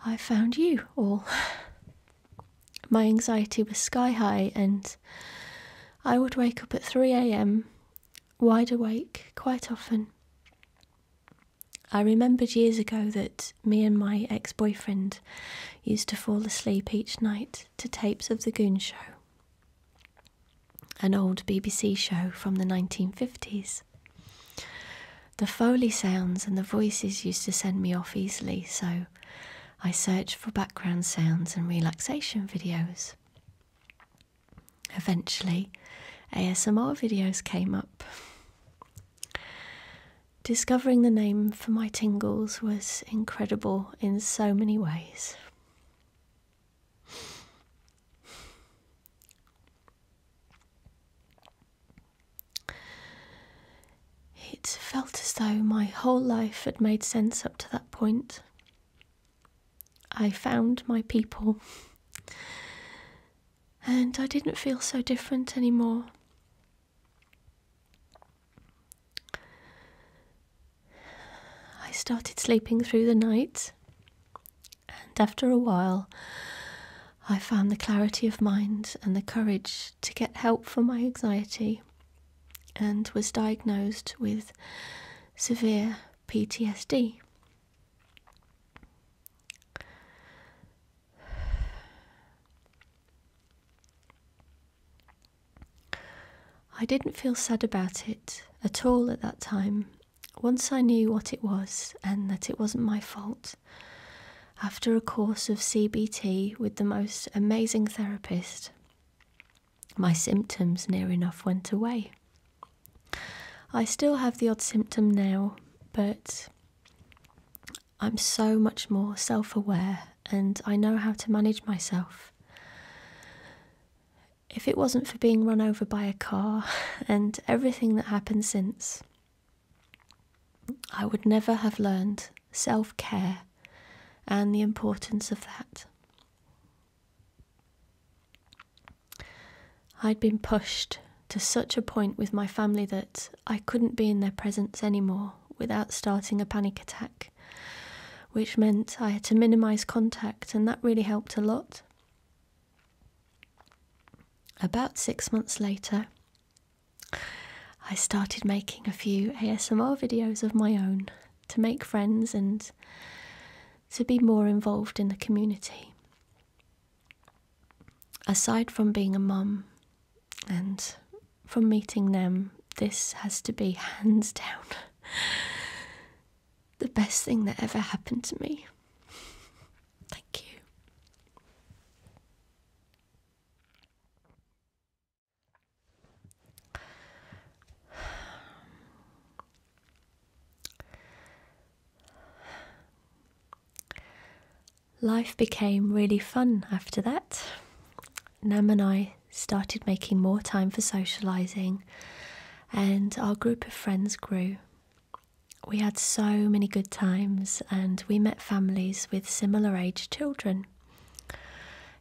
I found you all. (sighs) My anxiety was sky high, and I would wake up at 3 a.m., wide awake, quite often. I remembered years ago that me and my ex boyfriend used to fall asleep each night to tapes of The Goon Show, an old BBC show from the 1950s. The Foley sounds and the voices used to send me off easily, so I searched for background sounds and relaxation videos. Eventually, ASMR videos came up. Discovering the name for my tingles was incredible in so many ways. It felt as though my whole life had made sense up to that point. I found my people, and I didn't feel so different anymore. I started sleeping through the night, and after a while, I found the clarity of mind and the courage to get help for my anxiety and was diagnosed with severe PTSD. I didn't feel sad about it at all at that time. Once I knew what it was and that it wasn't my fault, after a course of CBT with the most amazing therapist, my symptoms near enough went away. I still have the odd symptom now, but I'm so much more self aware and I know how to manage myself. If it wasn't for being run over by a car (laughs) and everything that happened since, I would never have learned self care and the importance of that. I'd been pushed to such a point with my family that I couldn't be in their presence anymore without starting a panic attack, which meant I had to minimise contact, and that really helped a lot. About six months later, I started making a few ASMR videos of my own to make friends and to be more involved in the community. Aside from being a mum and from meeting them, this has to be (laughs) hands down the best thing that ever happened to me. Thank you. Life became really fun after that. Nam and I started making more time for socialising, and our group of friends grew. We had so many good times, and we met families with similar age children.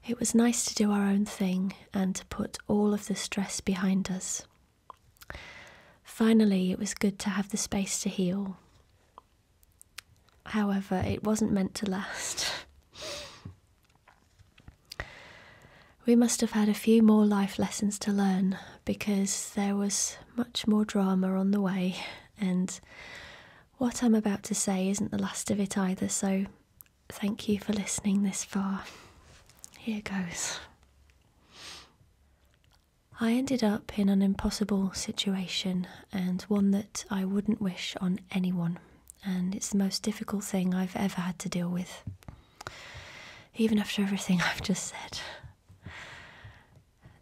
It was nice to do our own thing and to put all of the stress behind us. Finally, it was good to have the space to heal. However, it wasn't meant to last. (laughs) we must have had a few more life lessons to learn because there was much more drama on the way, and what I'm about to say isn't the last of it either, so thank you for listening this far. Here goes. I ended up in an impossible situation and one that I wouldn't wish on anyone, and it's the most difficult thing I've ever had to deal with, even after everything (laughs) I've just said.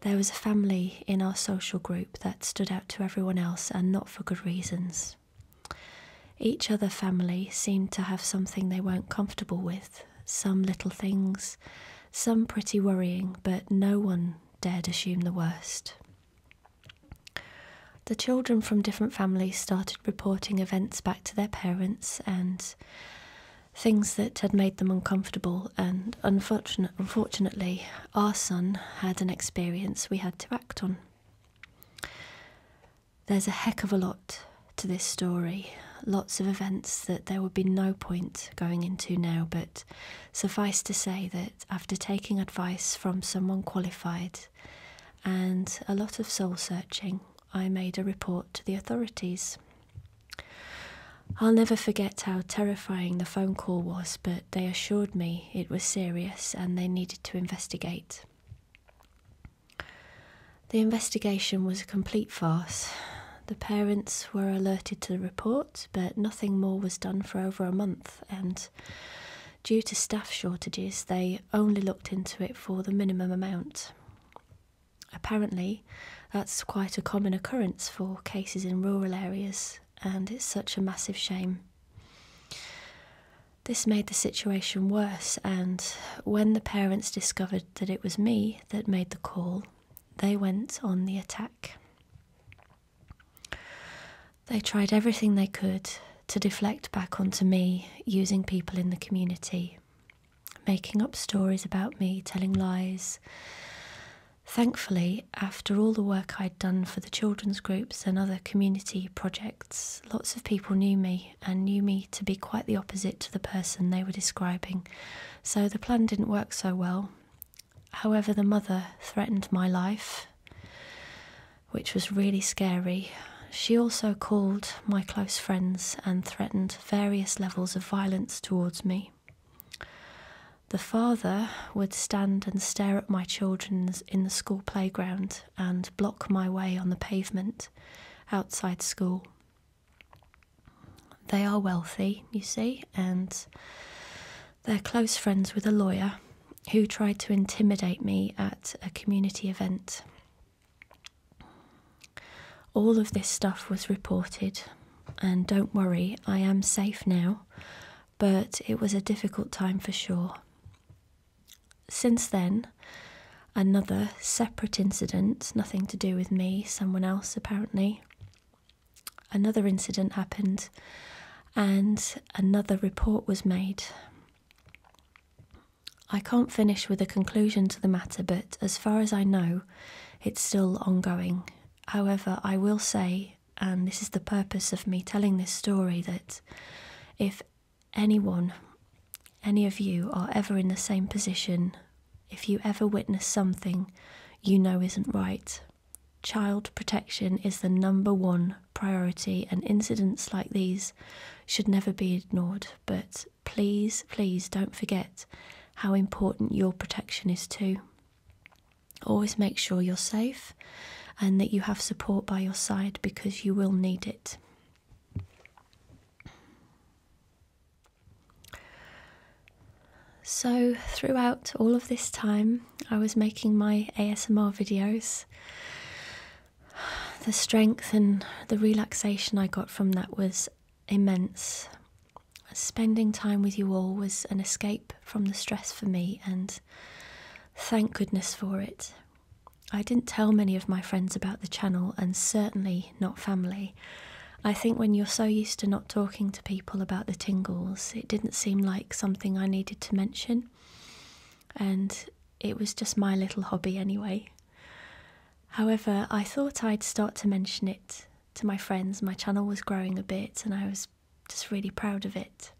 There was a family in our social group that stood out to everyone else and not for good reasons. Each other family seemed to have something they weren't comfortable with, some little things, some pretty worrying, but no one dared assume the worst. The children from different families started reporting events back to their parents and things that had made them uncomfortable, and unfortunate, unfortunately, our son had an experience we had to act on. There's a heck of a lot to this story, lots of events that there would be no point going into now, but suffice to say that after taking advice from someone qualified and a lot of soul searching, I made a report to the authorities. I'll never forget how terrifying the phone call was, but they assured me it was serious and they needed to investigate. The investigation was a complete farce. The parents were alerted to the report, but nothing more was done for over a month, and due to staff shortages, they only looked into it for the minimum amount. Apparently, that's quite a common occurrence for cases in rural areas, and it's such a massive shame. This made the situation worse, and when the parents discovered that it was me that made the call, they went on the attack. They tried everything they could to deflect back onto me using people in the community, making up stories about me, telling lies, Thankfully, after all the work I'd done for the children's groups and other community projects, lots of people knew me and knew me to be quite the opposite to the person they were describing, so the plan didn't work so well. However, the mother threatened my life, which was really scary. She also called my close friends and threatened various levels of violence towards me. The father would stand and stare at my children in the school playground and block my way on the pavement outside school. They are wealthy, you see, and they're close friends with a lawyer who tried to intimidate me at a community event. All of this stuff was reported, and don't worry, I am safe now but it was a difficult time for sure. Since then, another separate incident, nothing to do with me, someone else apparently. Another incident happened, and another report was made. I can't finish with a conclusion to the matter, but as far as I know, it's still ongoing. However, I will say and um, this is the purpose of me telling this story that if anyone, any of you, are ever in the same position, if you ever witness something you know isn't right, child protection is the number one priority, and incidents like these should never be ignored. But please, please don't forget how important your protection is too. Always make sure you're safe and that you have support by your side because you will need it. So, throughout all of this time, I was making my ASMR videos. The strength and the relaxation I got from that was immense spending time with you all was an escape from the stress for me, and thank goodness for it. I didn't tell many of my friends about the channel, and certainly not family. I think when you're so used to not talking to people about the tingles, it didn't seem like something I needed to mention, and it was just my little hobby anyway. However, I thought I'd start to mention it to my friends. My channel was growing a bit, and I was just really proud of it.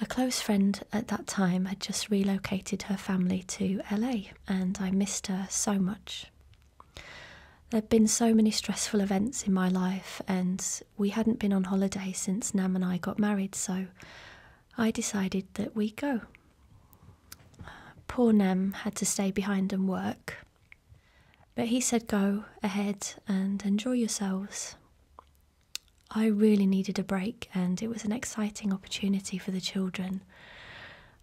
A close friend at that time had just relocated her family to LA, and I missed her so much. There'd been so many stressful events in my life, and we hadn't been on holiday since Nam and I got married, so I decided that we go. Poor Nam had to stay behind and work, but he said, Go ahead and enjoy yourselves. I really needed a break, and it was an exciting opportunity for the children.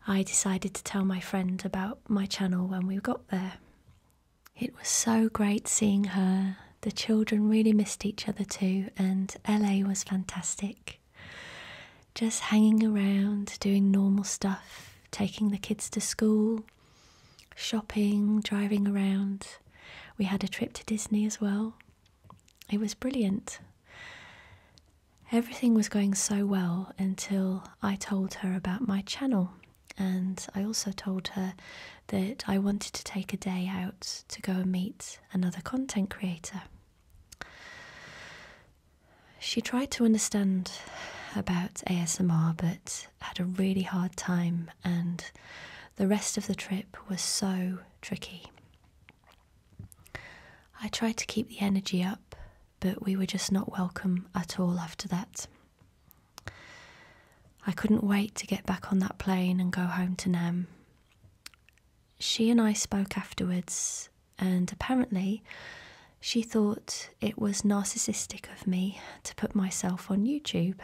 I decided to tell my friend about my channel when we got there. It was so great seeing her. The children really missed each other too, and LA was fantastic. Just hanging around, doing normal stuff, taking the kids to school, shopping, driving around. We had a trip to Disney as well. It was brilliant. Everything was going so well until I told her about my channel. And I also told her that I wanted to take a day out to go and meet another content creator. She tried to understand about ASMR, but had a really hard time, and the rest of the trip was so tricky. I tried to keep the energy up, but we were just not welcome at all after that. I couldn't wait to get back on that plane and go home to Nem. She and I spoke afterwards, and apparently, she thought it was narcissistic of me to put myself on YouTube.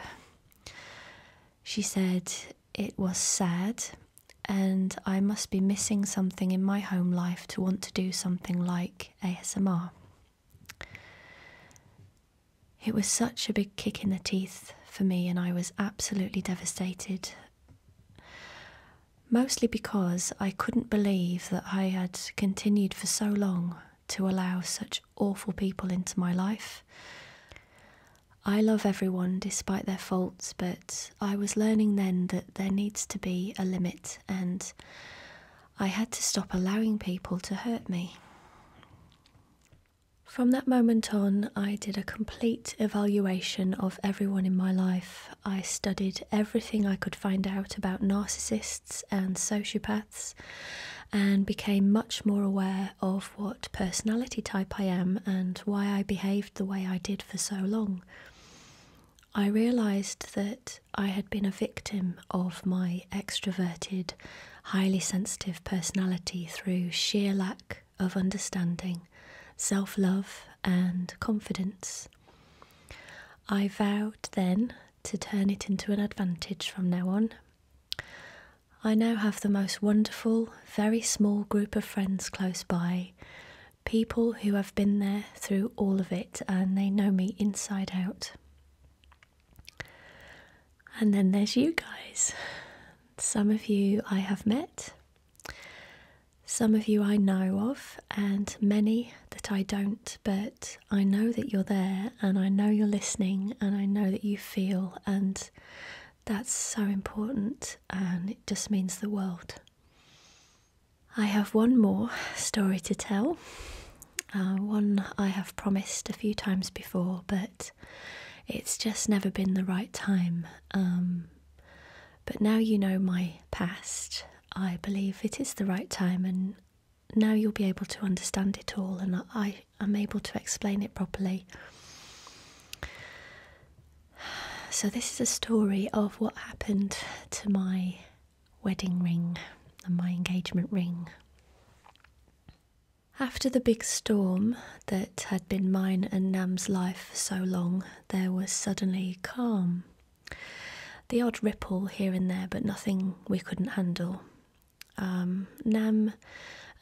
She said it was sad and I must be missing something in my home life to want to do something like ASMR. It was such a big kick in the teeth for me, and I was absolutely devastated. Mostly because I couldn't believe that I had continued for so long to allow such awful people into my life. I love everyone despite their faults, but I was learning then that there needs to be a limit, and I had to stop allowing people to hurt me. From that moment on, I did a complete evaluation of everyone in my life. I studied everything I could find out about narcissists and sociopaths and became much more aware of what personality type I am and why I behaved the way I did for so long. I realised that I had been a victim of my extroverted, highly sensitive personality through sheer lack of understanding, self love, and confidence. I vowed then to turn it into an advantage from now on. I now have the most wonderful, very small group of friends close by, people who have been there through all of it and they know me inside out. And then there's you guys. Some of you I have met, some of you I know of, and many that I don't, but I know that you're there and I know you're listening and I know that you feel, and that's so important and it just means the world. I have one more story to tell, uh, one I have promised a few times before, but it's just never been the right time. Um, but now you know my past, I believe it is the right time, and now you'll be able to understand it all and I am able to explain it properly. So, this is a story of what happened to my wedding ring and my engagement ring. After the big storm that had been mine and Nam's life for so long, there was suddenly calm the odd ripple here and there, but nothing we couldn't handle. Um, Nam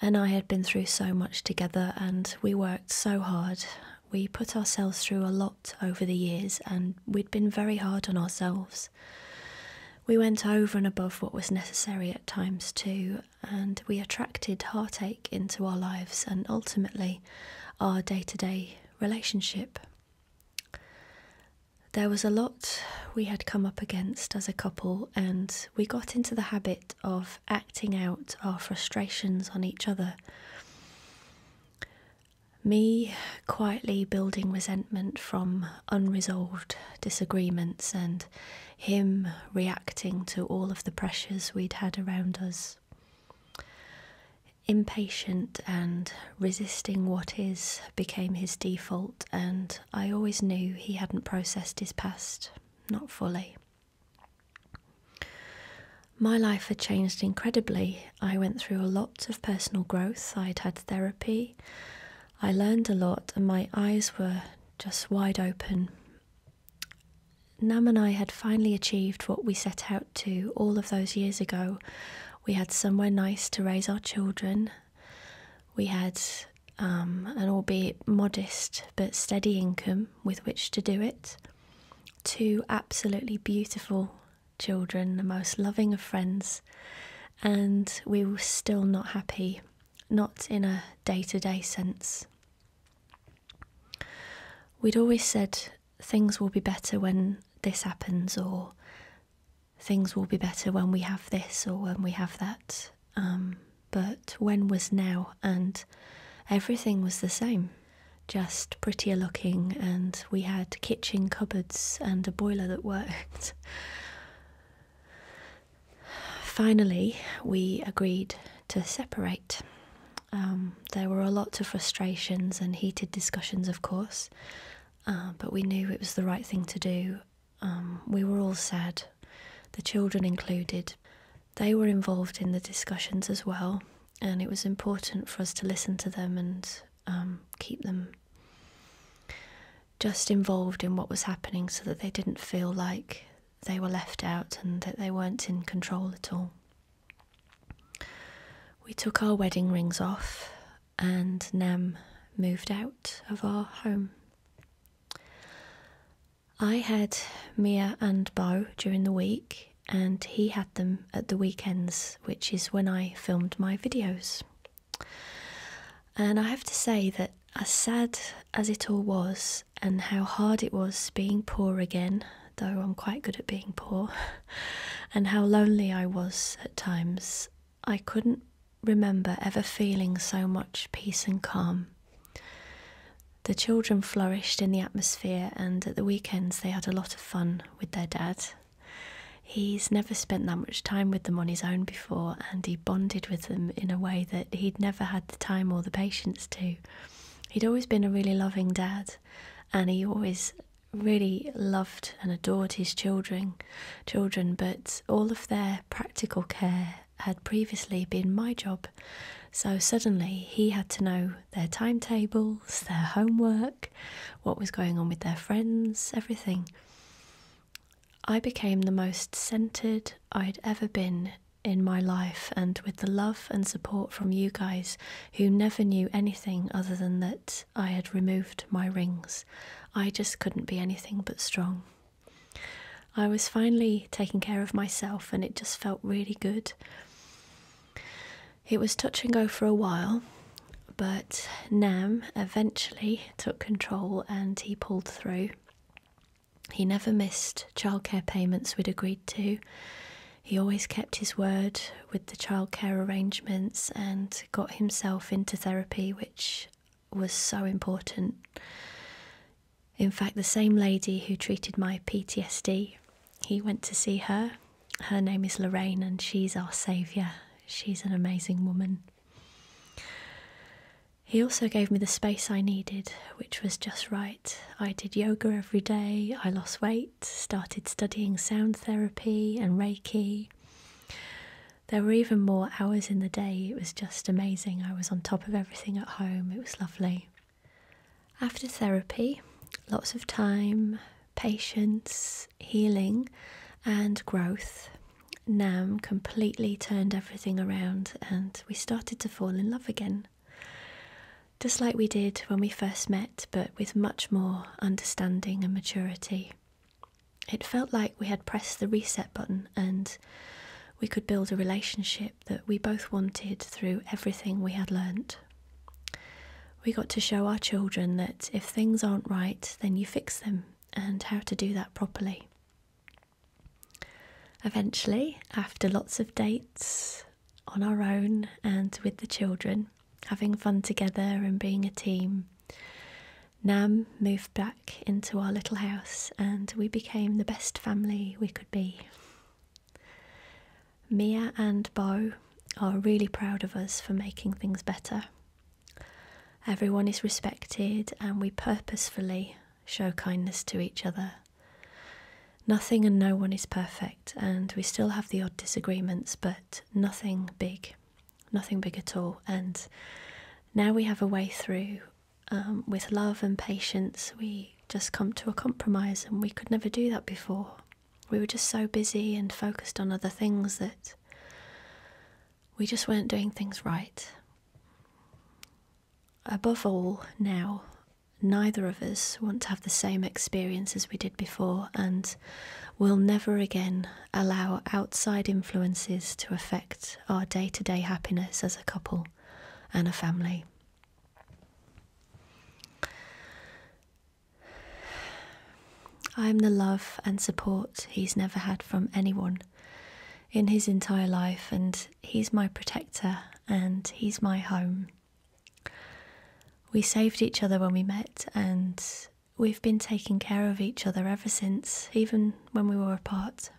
and I had been through so much together and we worked so hard. We put ourselves through a lot over the years and we'd been very hard on ourselves. We went over and above what was necessary at times too, and we attracted heartache into our lives and ultimately our day to day relationship. There was a lot we had come up against as a couple, and we got into the habit of acting out our frustrations on each other. Me quietly building resentment from unresolved disagreements, and him reacting to all of the pressures we'd had around us. Impatient and resisting what is became his default and I always knew he hadn't processed his past, not fully. My life had changed incredibly. I went through a lot of personal growth, I'd had therapy, I learned a lot, and my eyes were just wide open. Nam and I had finally achieved what we set out to all of those years ago. We had somewhere nice to raise our children. We had um, an albeit modest but steady income with which to do it. Two absolutely beautiful children, the most loving of friends, and we were still not happy, not in a day to day sense. We'd always said things will be better when this happens, or things will be better when we have this or when we have that. Um, but when was now, and everything was the same, just prettier looking, and we had kitchen cupboards and a boiler that worked. (sighs) Finally, we agreed to separate. Um, there were a lot of frustrations and heated discussions, of course, uh, but we knew it was the right thing to do. Um, we were all sad, the children included. They were involved in the discussions as well, and it was important for us to listen to them and um, keep them just involved in what was happening so that they didn't feel like they were left out and that they weren't in control at all. We took our wedding rings off and Nem moved out of our home. I had Mia and Bo during the week, and he had them at the weekends, which is when I filmed my videos. And I have to say that, as sad as it all was, and how hard it was being poor again, though I'm quite good at being poor, (laughs) and how lonely I was at times, I couldn't remember ever feeling so much peace and calm. The children flourished in the atmosphere, and at the weekends they had a lot of fun with their dad. He's never spent that much time with them on his own before, and he bonded with them in a way that he'd never had the time or the patience to. He'd always been a really loving dad, and he always really loved and adored his children children, but all of their practical care had previously been my job. So suddenly he had to know their timetables, their homework, what was going on with their friends, everything. I became the most centered I'd ever been in my life, and with the love and support from you guys who never knew anything other than that I had removed my rings. I just couldn't be anything but strong. I was finally taking care of myself, and it just felt really good. It was touch and go for a while, but Nam eventually took control and he pulled through. He never missed childcare payments we'd agreed to. He always kept his word with the childcare arrangements and got himself into therapy, which was so important. In fact, the same lady who treated my PTSD, he went to see her. Her name is Lorraine, and she's our saviour. She's an amazing woman. He also gave me the space I needed, which was just right. I did yoga every day, I lost weight, started studying sound therapy and Reiki. There were even more hours in the day. It was just amazing. I was on top of everything at home. It was lovely. After therapy, lots of time, patience, healing, and growth, Nam completely turned everything around and we started to fall in love again. Just like we did when we first met, but with much more understanding and maturity. It felt like we had pressed the reset button and we could build a relationship that we both wanted through everything we had learnt. We got to show our children that if things aren't right, then you fix them and how to do that properly. Eventually, after lots of dates on our own and with the children, having fun together and being a team, Nam moved back into our little house and we became the best family we could be. Mia and Bo are really proud of us for making things better. Everyone is respected and we purposefully show kindness to each other. Nothing and no one is perfect, and we still have the odd disagreements, but nothing big nothing big at all. And now we have a way through. Um, with love and patience, we just come to a compromise, and we could never do that before. We were just so busy and focused on other things that we just weren't doing things right. Above all, now, neither of us want to have the same experience as we did before, and we'll never again allow outside influences to affect our day to day happiness as a couple and a family. I am the love and support he's never had from anyone in his entire life, and he's my protector and he's my home. We saved each other when we met, and we've been taking care of each other ever since, even when we were apart.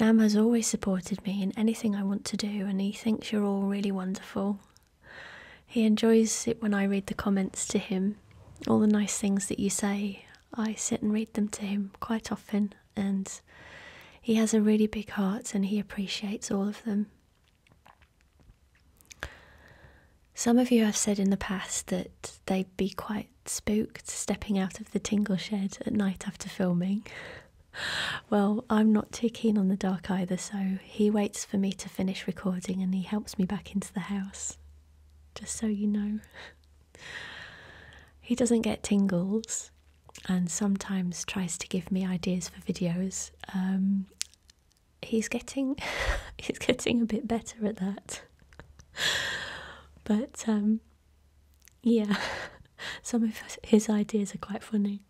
Nam has always supported me in anything I want to do, and he thinks you're all really wonderful. He enjoys it when I read the comments to him, all the nice things that you say. I sit and read them to him quite often, and he has a really big heart and he appreciates all of them. Some of you have said in the past that they'd be quite spooked stepping out of the tingle shed at night after filming. (laughs) well, I'm not too keen on the dark either, so he waits for me to finish recording and he helps me back into the house. Just so you know. he doesn't get tingles and sometimes tries to give me ideas for videos. Um, he's getting (laughs) he's getting a bit better at that. but um, yeah, (laughs) some of his ideas are quite funny.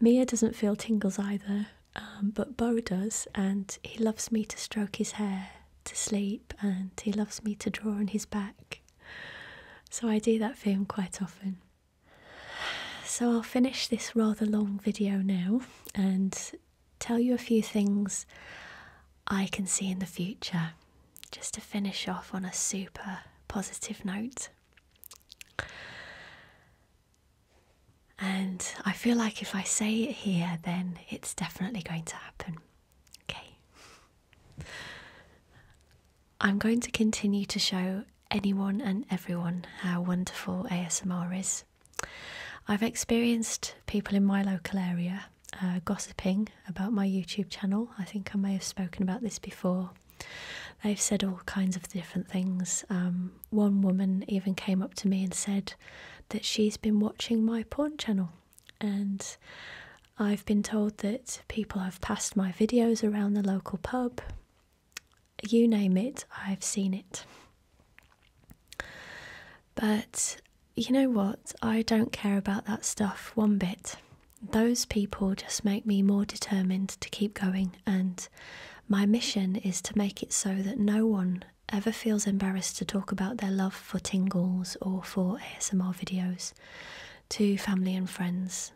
Mia doesn't feel tingles either, um, but Bo does, and he loves me to stroke his hair to sleep, and he loves me to draw on his back. So I do that for him quite often. So I'll finish this rather long video now, and tell you a few things I can see in the future, just to finish off on a super positive note. And I feel like if I say it here, then it's definitely going to happen. Okay. I'm going to continue to show anyone and everyone how wonderful ASMR is. I've experienced people in my local area uh, gossiping about my YouTube channel. I think I may have spoken about this before. They've said all kinds of different things. Um, one woman even came up to me and said that she's been watching my porn channel, and I've been told that people have passed my videos around the local pub you name it, I've seen it. But you know what? I don't care about that stuff one bit. Those people just make me more determined to keep going, and my mission is to make it so that no one ever feels embarrassed to talk about their love for tingles or for ASMR videos to family and friends.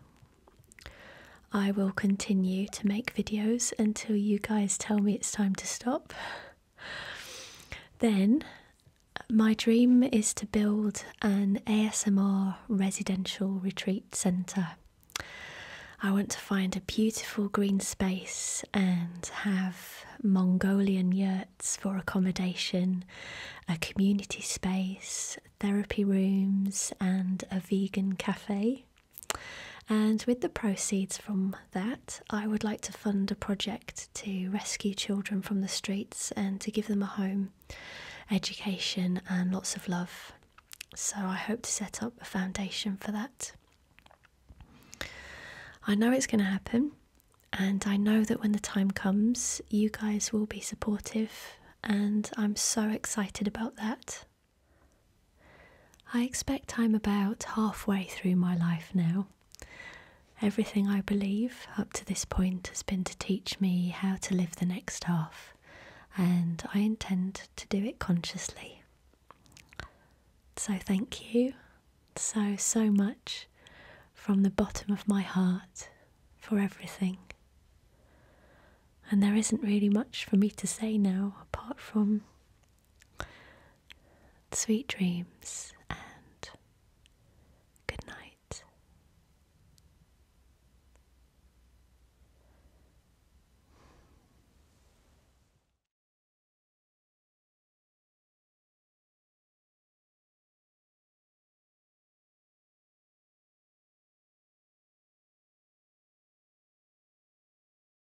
I will continue to make videos until you guys tell me it's time to stop then my dream is to build an ASMR residential retreat centre. I want to find a beautiful green space and have Mongolian yurts for accommodation, a community space, therapy rooms, and a vegan cafe. And with the proceeds from that, I would like to fund a project to rescue children from the streets and to give them a home, education, and lots of love. So I hope to set up a foundation for that. I know it's going to happen, and I know that when the time comes, you guys will be supportive, and I'm so excited about that. I expect I'm about halfway through my life now. Everything I believe up to this point has been to teach me how to live the next half, and I intend to do it consciously. So, thank you so, so much from the bottom of my heart for everything. And there isn't really much for me to say now apart from Sweet dreams and good night.